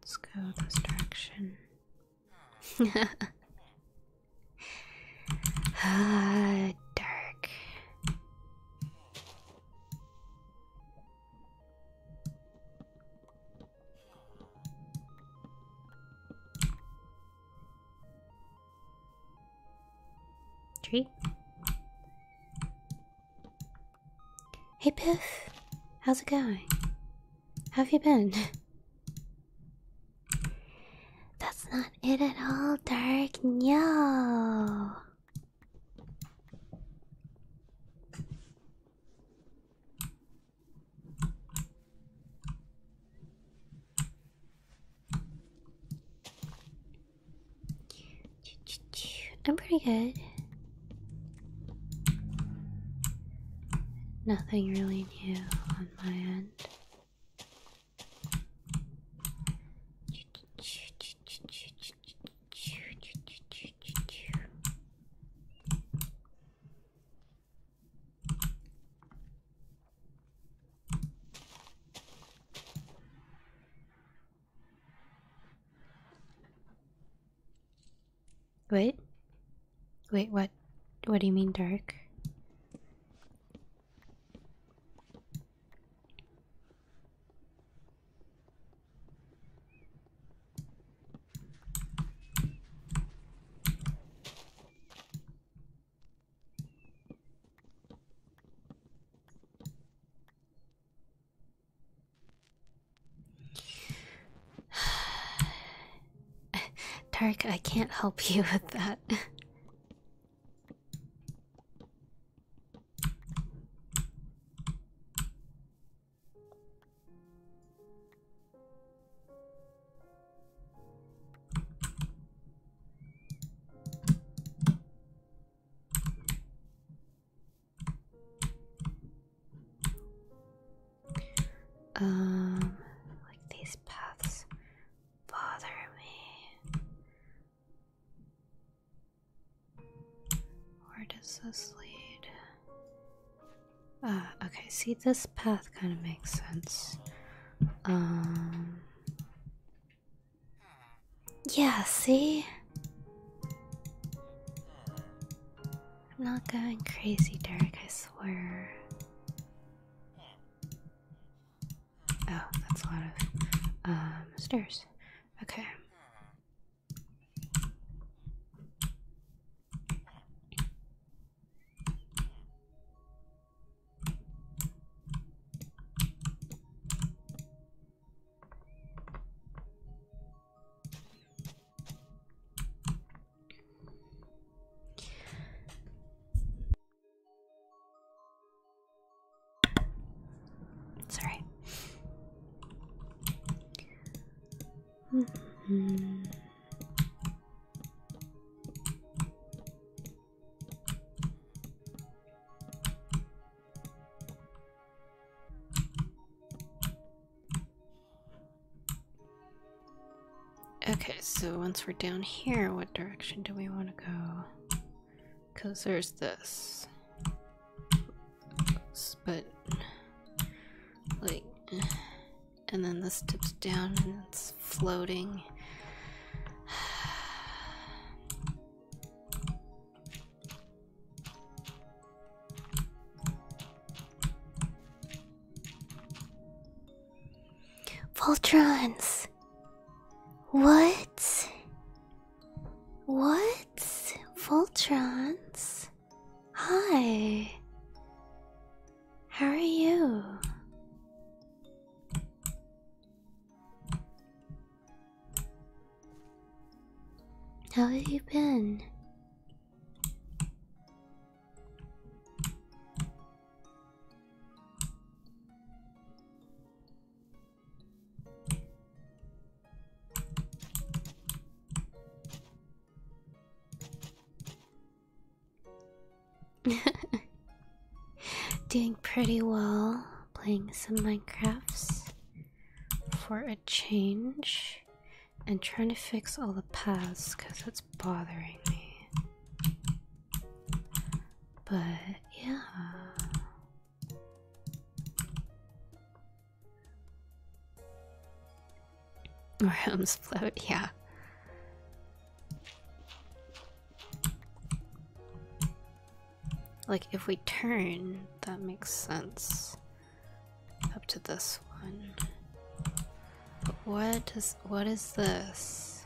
Let's go this ah, dark. Tree. Hey Piff, how's it going? How have you been? That's not it at all, Dark. No. I'm pretty good. Nothing really new on my end. Wait, wait, what? What do you mean dark? Tark, I can't help you with that. Um, like these paths bother me. Where does this lead? Ah, okay, see, this path kind of makes sense. Um. Yeah, see? I'm not going crazy, Derek, I swear. Oh, that's a lot of um, stairs. Okay. It's Okay, so once we're down here, what direction do we want to go? Because there's this. But, like, and then this dips down and it's floating. Voltrons! What? What? Voltrons? Hi. How are you? How have you been? Doing pretty well playing some Minecrafts for a change and trying to fix all the paths because it's bothering me. But yeah, Worms float, yeah. Like, if we turn, that makes sense. Up to this one. what does- what is this?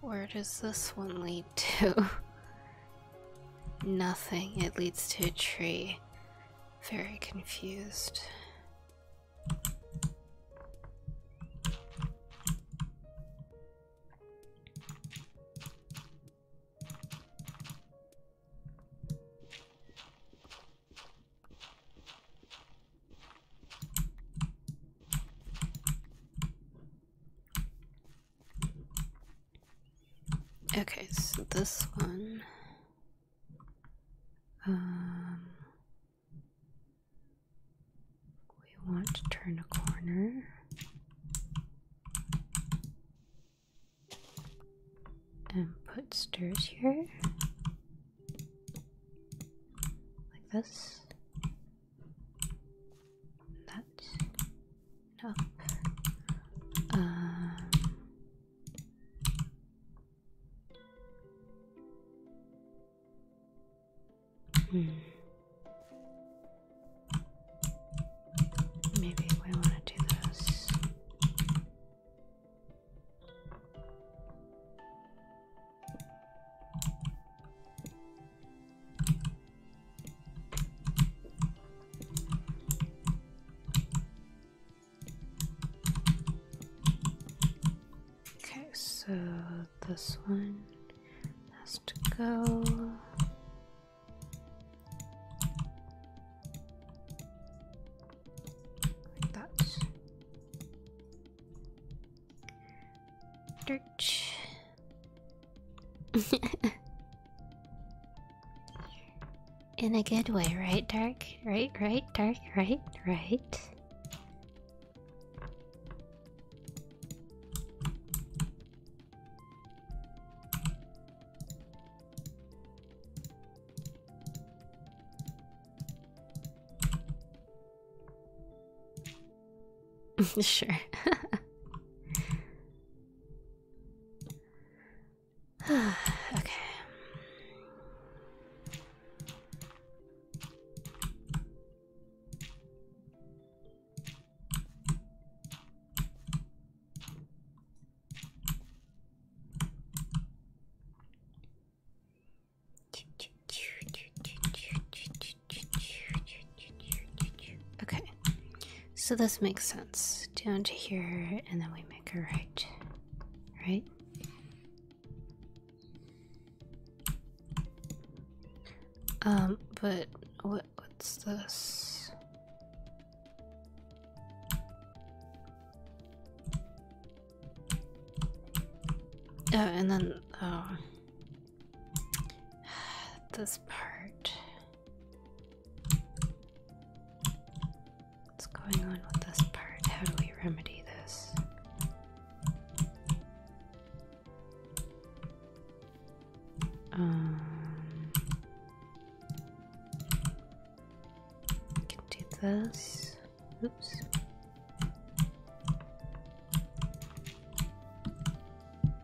Where does this one lead to? Nothing. It leads to a tree. Very confused. Okay, so this one. Um, we want to turn a corner. And put stairs here. Like this. That's no. Um, uh, hmm. Maybe we want to do this. Okay, so this one has to go. Like that. Dirch. In a good way, right, Dark? Right, right, Dark, right, right. sure. okay. Okay, so this makes sense. Down to here, and then we make a right. Right? Um, but what's this? Oh, and then uh, this part. What's going on with this part? How do we remedy this? Um, can do this. Oops.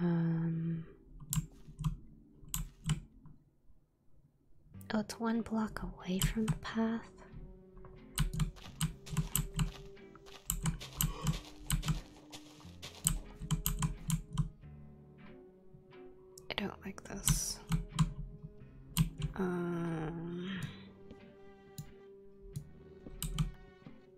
um, oh, it's one block away from the path. I don't like this. Um,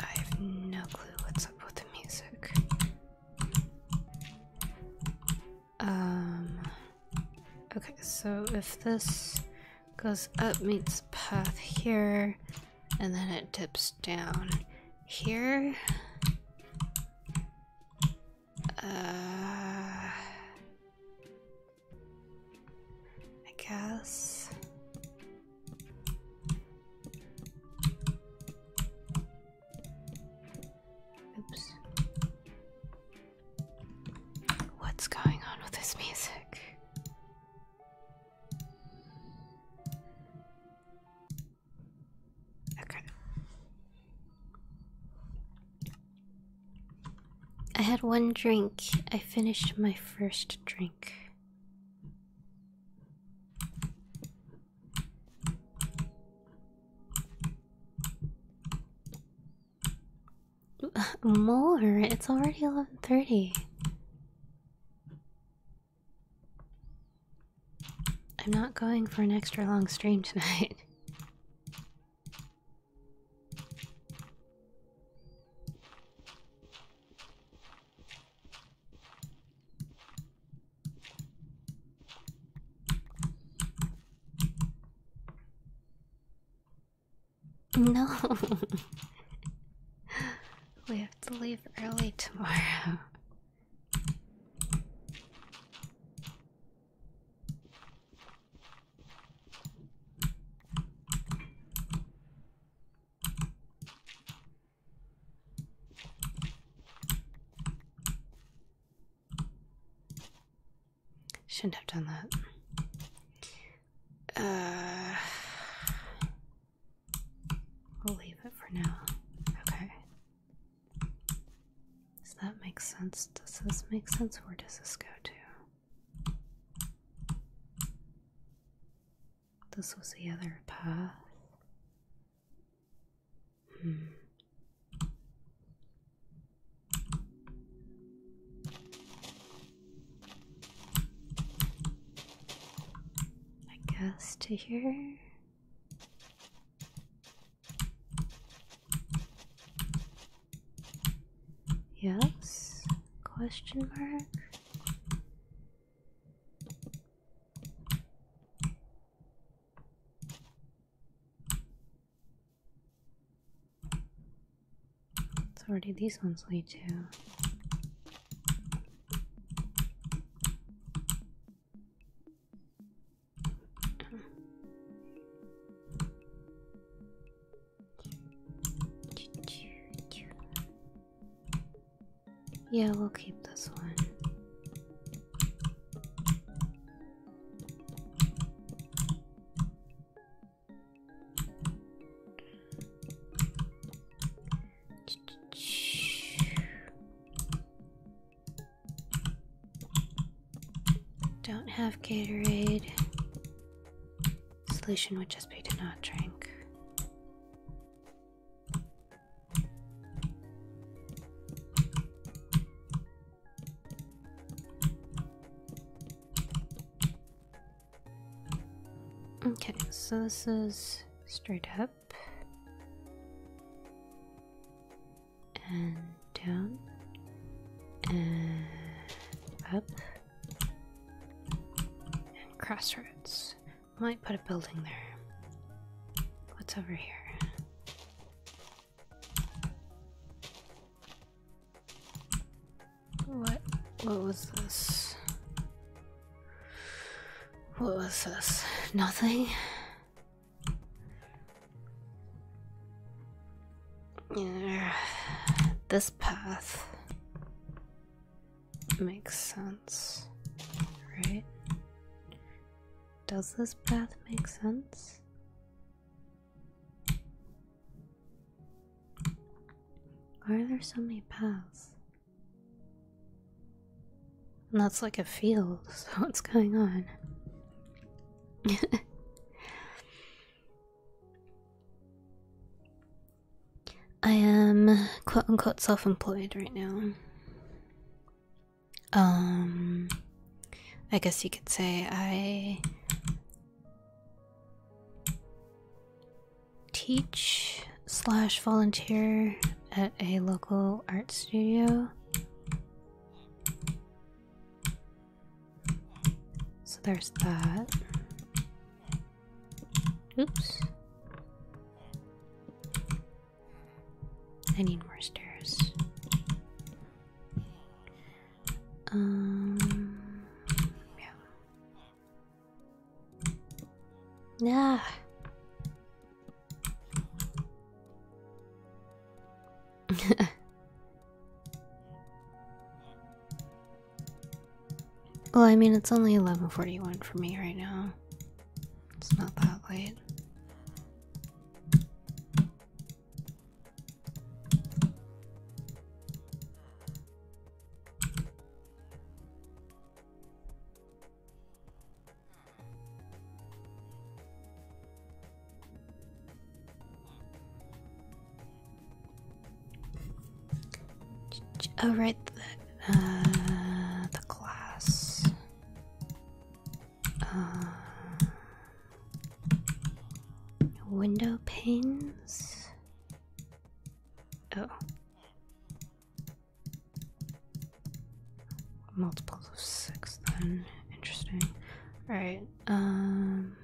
I have no clue what's up with the music. Um. Okay, so if this goes up, meets path here, and then it dips down here. Uh. I guess. Oops. What's going on with this music? Okay. I had one drink. I finished my first drink. More. It's already 11:30. I'm not going for an extra long stream tonight. No, we have to leave early tomorrow. Shouldn't have done that. Uh, we'll leave it for now. Okay. Does that make sense? Does this make sense? Where does this go to? This was the other path. Hmm. I guess to here. Yes? Question mark? It's already. these ones lead to? Yeah, we'll keep this one. Don't have Gatorade. Solution would just be to not drink. Okay, so this is straight up and down and up and crossroads. Might put a building there. What's over here? What what was this? What was this? Nothing? Yeah, this path. Makes sense, right? Does this path make sense? Why are there so many paths? And that's like a field, so what's going on? I am quote unquote self employed right now. Um, I guess you could say I teach slash volunteer at a local art studio. So there's that. Oops. I need more stairs. Um, yeah. Nah. well, I mean, it's only 11:41 for me right now. It's not that late. Oh, uh, the glass Uh, window panes. Oh. Multiples of six, then. Interesting. Alright, um.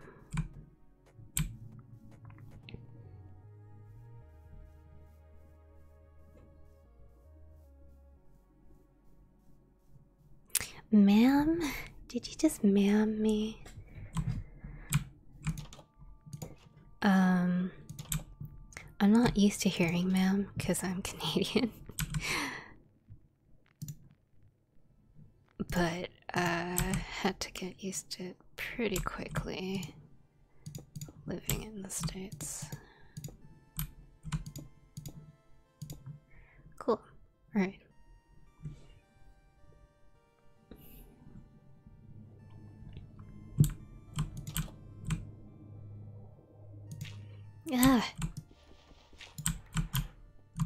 Ma'am? Did you just ma'am me? Um, I'm not used to hearing ma'am because I'm Canadian. but I uh, had to get used to it pretty quickly living in the States. Cool. Alright. Ah.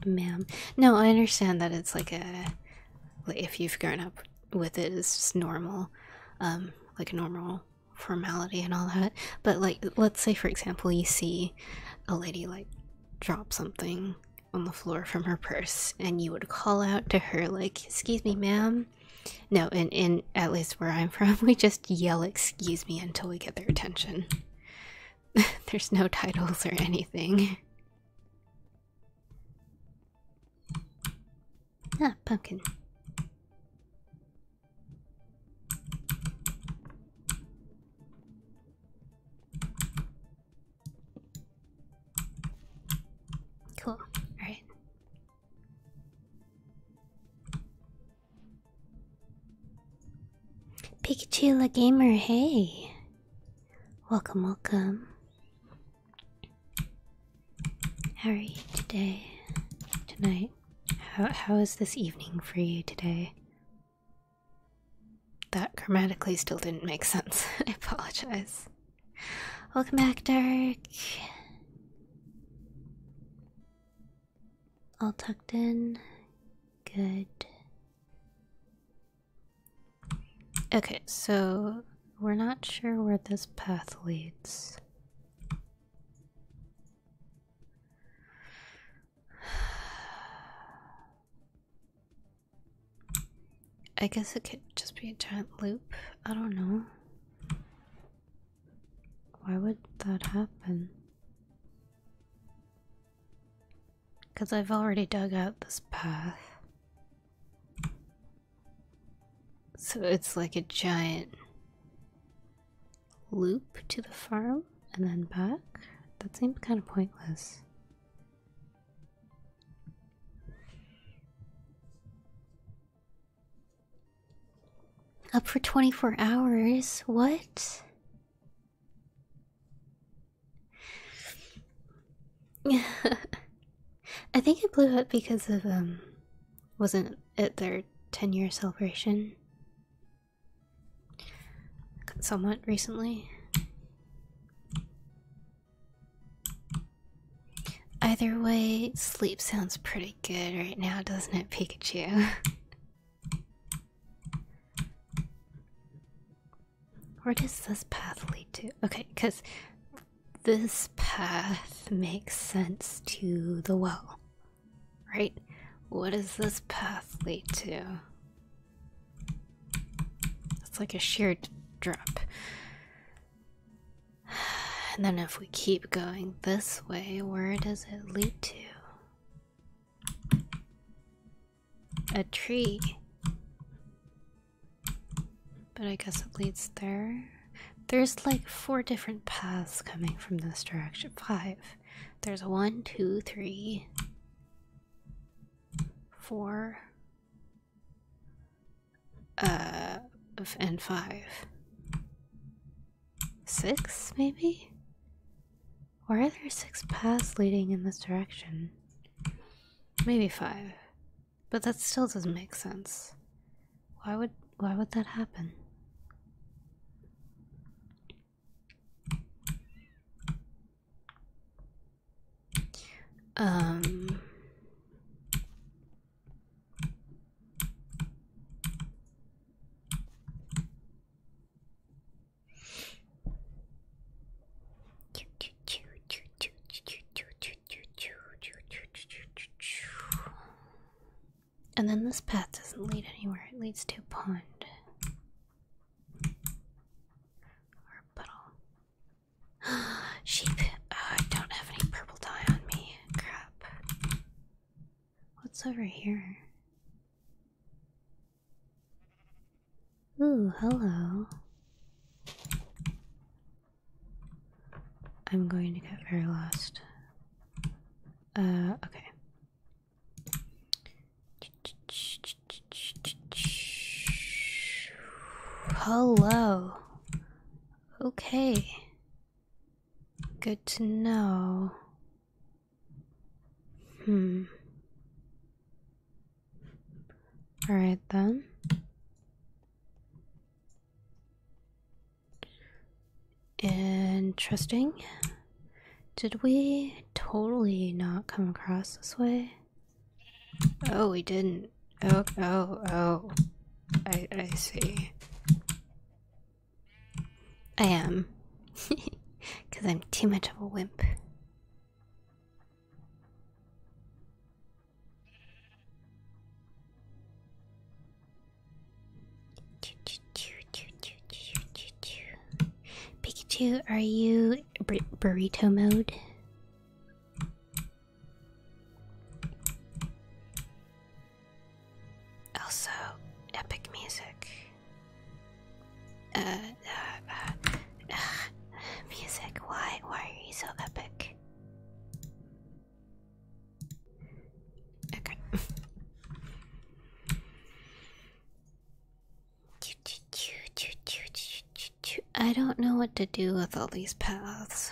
Ma'am. No, I understand that it's like a if you've grown up with it, it's just normal. Um, like normal formality and all that but like let's say for example you see a lady like drop something on the floor from her purse and you would call out to her like excuse me ma'am no in in at least where i'm from we just yell excuse me until we get their attention there's no titles or anything Ah, pumpkin. Cool. All right. Pikachu the Gamer, hey. Welcome, welcome. How are you today? Tonight? How how is this evening for you today? That grammatically still didn't make sense. I apologize. Welcome back, Dark. All tucked in. Good. Okay, so we're not sure where this path leads. I guess it could just be a giant loop. I don't know. Why would that happen? Because I've already dug out this path. So it's like a giant loop to the farm and then back? That seems kind of pointless. Up for 24 hours? What? I think it blew up because of um wasn't it their 10 year celebration somewhat recently. Either way, sleep sounds pretty good right now, doesn't it, Pikachu? Where does this path lead to? Okay, because this path makes sense to the well. Right? What does this path lead to? It's like a sheer drop. And then if we keep going this way, where does it lead to? A tree. But I guess it leads there. There's like four different paths coming from this direction. Five. There's one, two, three, four, uh, and five. Six, maybe? Or are there six paths leading in this direction? Maybe five. But that still doesn't make sense. Why would why would that happen? Um and then this path doesn't lead anywhere, it leads to a pond. Or puddle. Sheep! Uh, I don't have any purple dye on me. Crap. What's over here? Ooh, hello. I'm going to get very lost. Uh, okay. Hello. Okay. Good to know. Hmm. All right then. Interesting. Did we totally not come across this way? Oh, we didn't. Oh, oh, oh. I, I see. I am. Because I'm too much of a wimp. Pikachu, are you burrito mode? Also, epic music. uh, uh, uh music. Why? Why are you so epic? Okay. I don't know what to do with all these paths.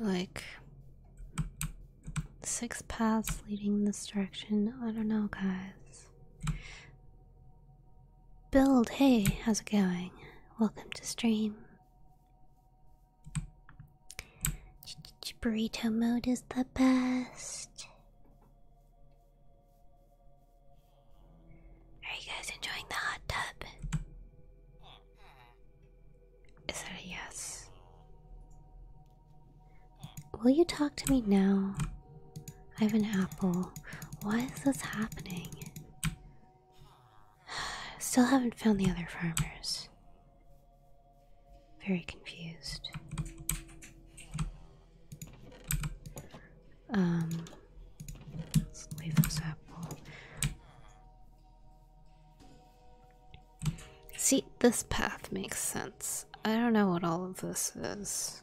Like six paths leading this direction. I don't know, guys. Build, hey, how's it going? Welcome to stream burrito mode is the best. Are you guys enjoying the hot tub? Is that a yes? Will you talk to me now? I have an apple. Why is this happening? Still haven't found the other farmers. Very confused. Um, let's leave this apple. See, this path makes sense. I don't know what all of this is.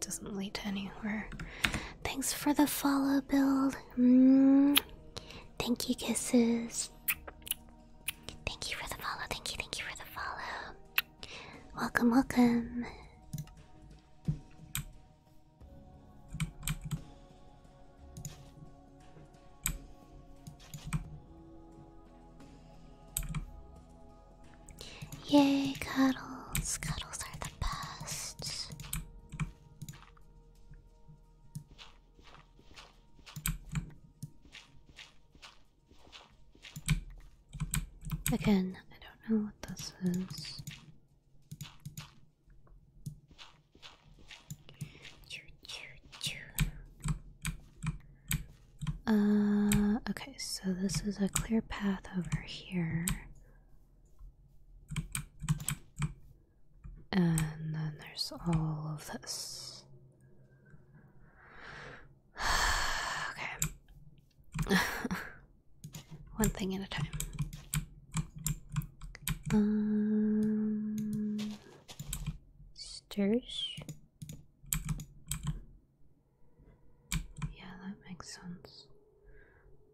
doesn't lead to anywhere. Thanks for the follow build. Mm. Thank you, kisses. Thank you for the follow. Thank you, thank you for the follow. Welcome, welcome. Yay, cuddles. Cuddles are the. Again, I don't know what this is. Uh, okay, so this is a clear path over here. And then there's all of this. okay. One thing at a time. Um, stairs. Yeah, that makes sense.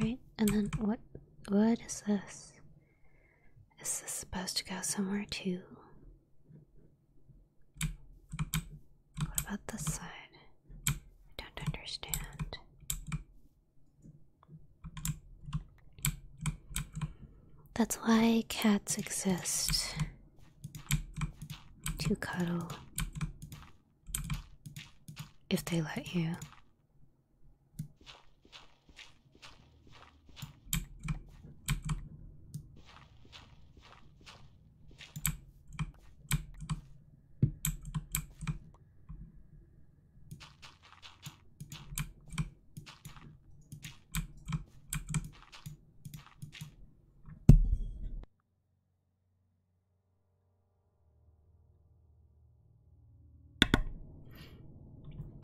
Right? And then what what is this? Is this supposed to go somewhere too? What about this side? I don't understand. That's why cats exist to cuddle if they let you.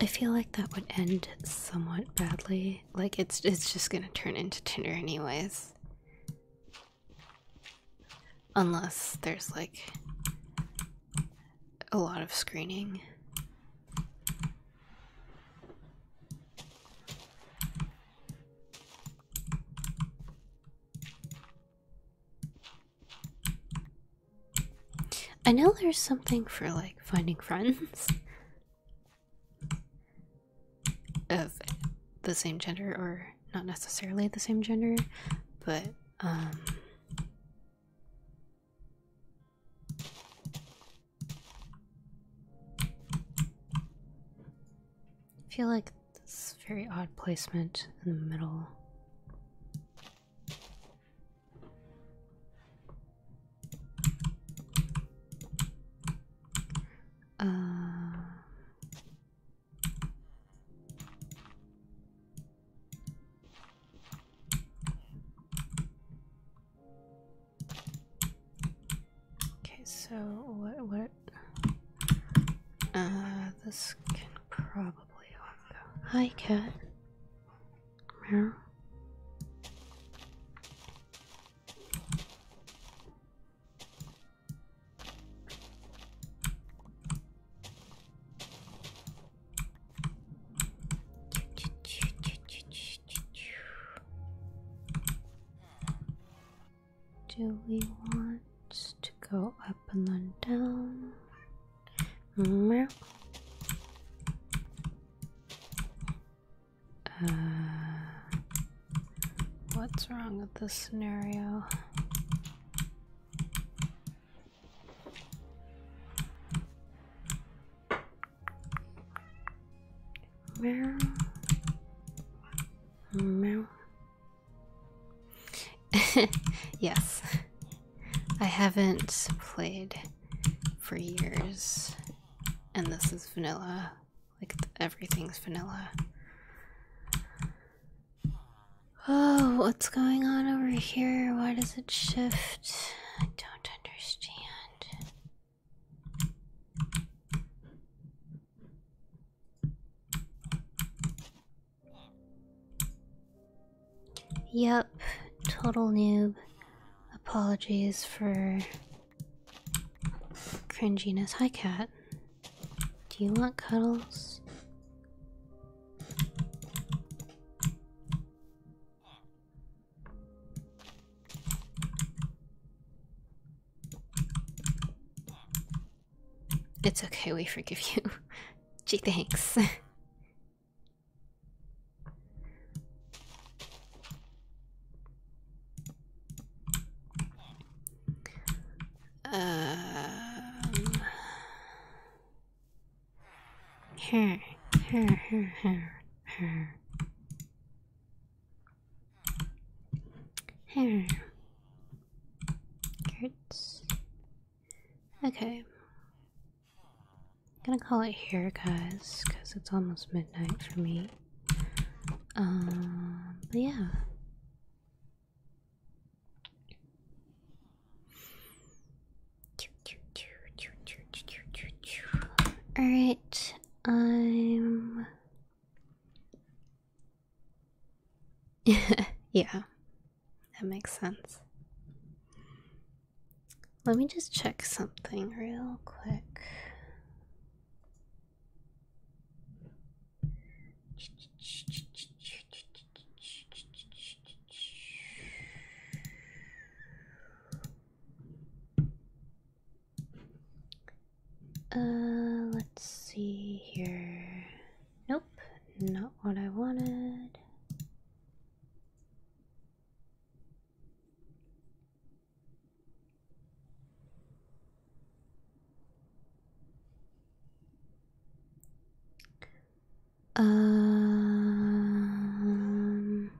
I feel like that would end somewhat badly. Like it's it's just gonna turn into Tinder anyways. Unless there's like a lot of screening. I know there's something for like finding friends of the same gender or not necessarily the same gender, but um I feel like this very odd placement in the middle. Uh, Okay, so what? What? Uh, this can probably go. Hi, cat. Meow. Do we want to go up and then down? Mm-hmm. Uh, what's wrong with this scenario? Meow. Meow. yes. I haven't played for years, and this is vanilla. Like, everything's vanilla. Oh, what's going on over here? Why does it shift? I don't understand. Yep, total noob. Apologies for cringiness. Hi, cat. Do you want cuddles? It's okay, we forgive you. Gee, thanks. um. Her, her, her, her, her. Hair. Curts. Okay. I'm gonna call it here, guys, because it's almost midnight for me. Um, but yeah. Alright, I'm yeah, that makes sense. Let me just check something real quick. Uh, let's see here. Nope, not what I wanted. Um,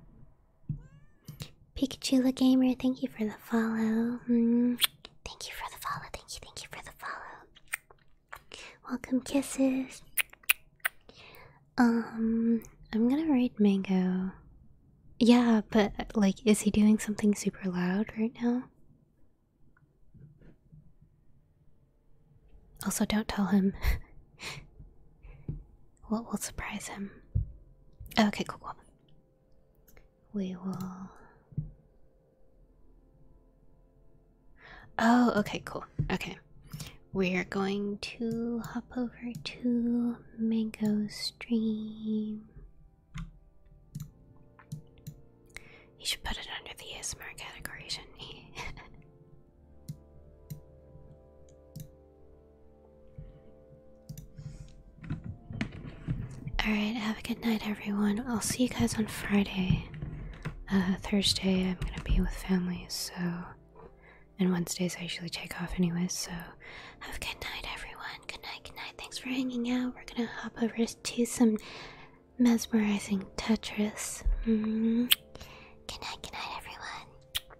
Pikachu the Gamer, thank you for the follow. Hmm. Thank you for the follow. Thank you, thank you for the follow. Welcome kisses. Um, I'm gonna read Mango. Yeah, but like, is he doing something super loud right now? Also, don't tell him. what will will surprise him? Okay, cool, cool we will. Oh, okay, cool. Okay. We're going to hop over to Mango Stream. You should put it under the ASMR category, shouldn't he? Alright, have a good night, everyone. I'll see you guys on Friday. Uh, Thursday, I'm gonna be with family, so. And Wednesdays, I usually take off anyway, so. Have a good night, everyone. Good night, good night. Thanks for hanging out. We're gonna hop over to some mesmerizing Tetris. Mm-hmm. Good night, good night, everyone.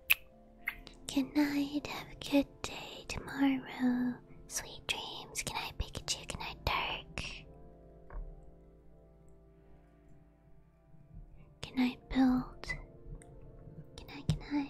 Good night, have a good day tomorrow. Sweet dreams, can I a can I Dark? Can I Build. Can I? good night.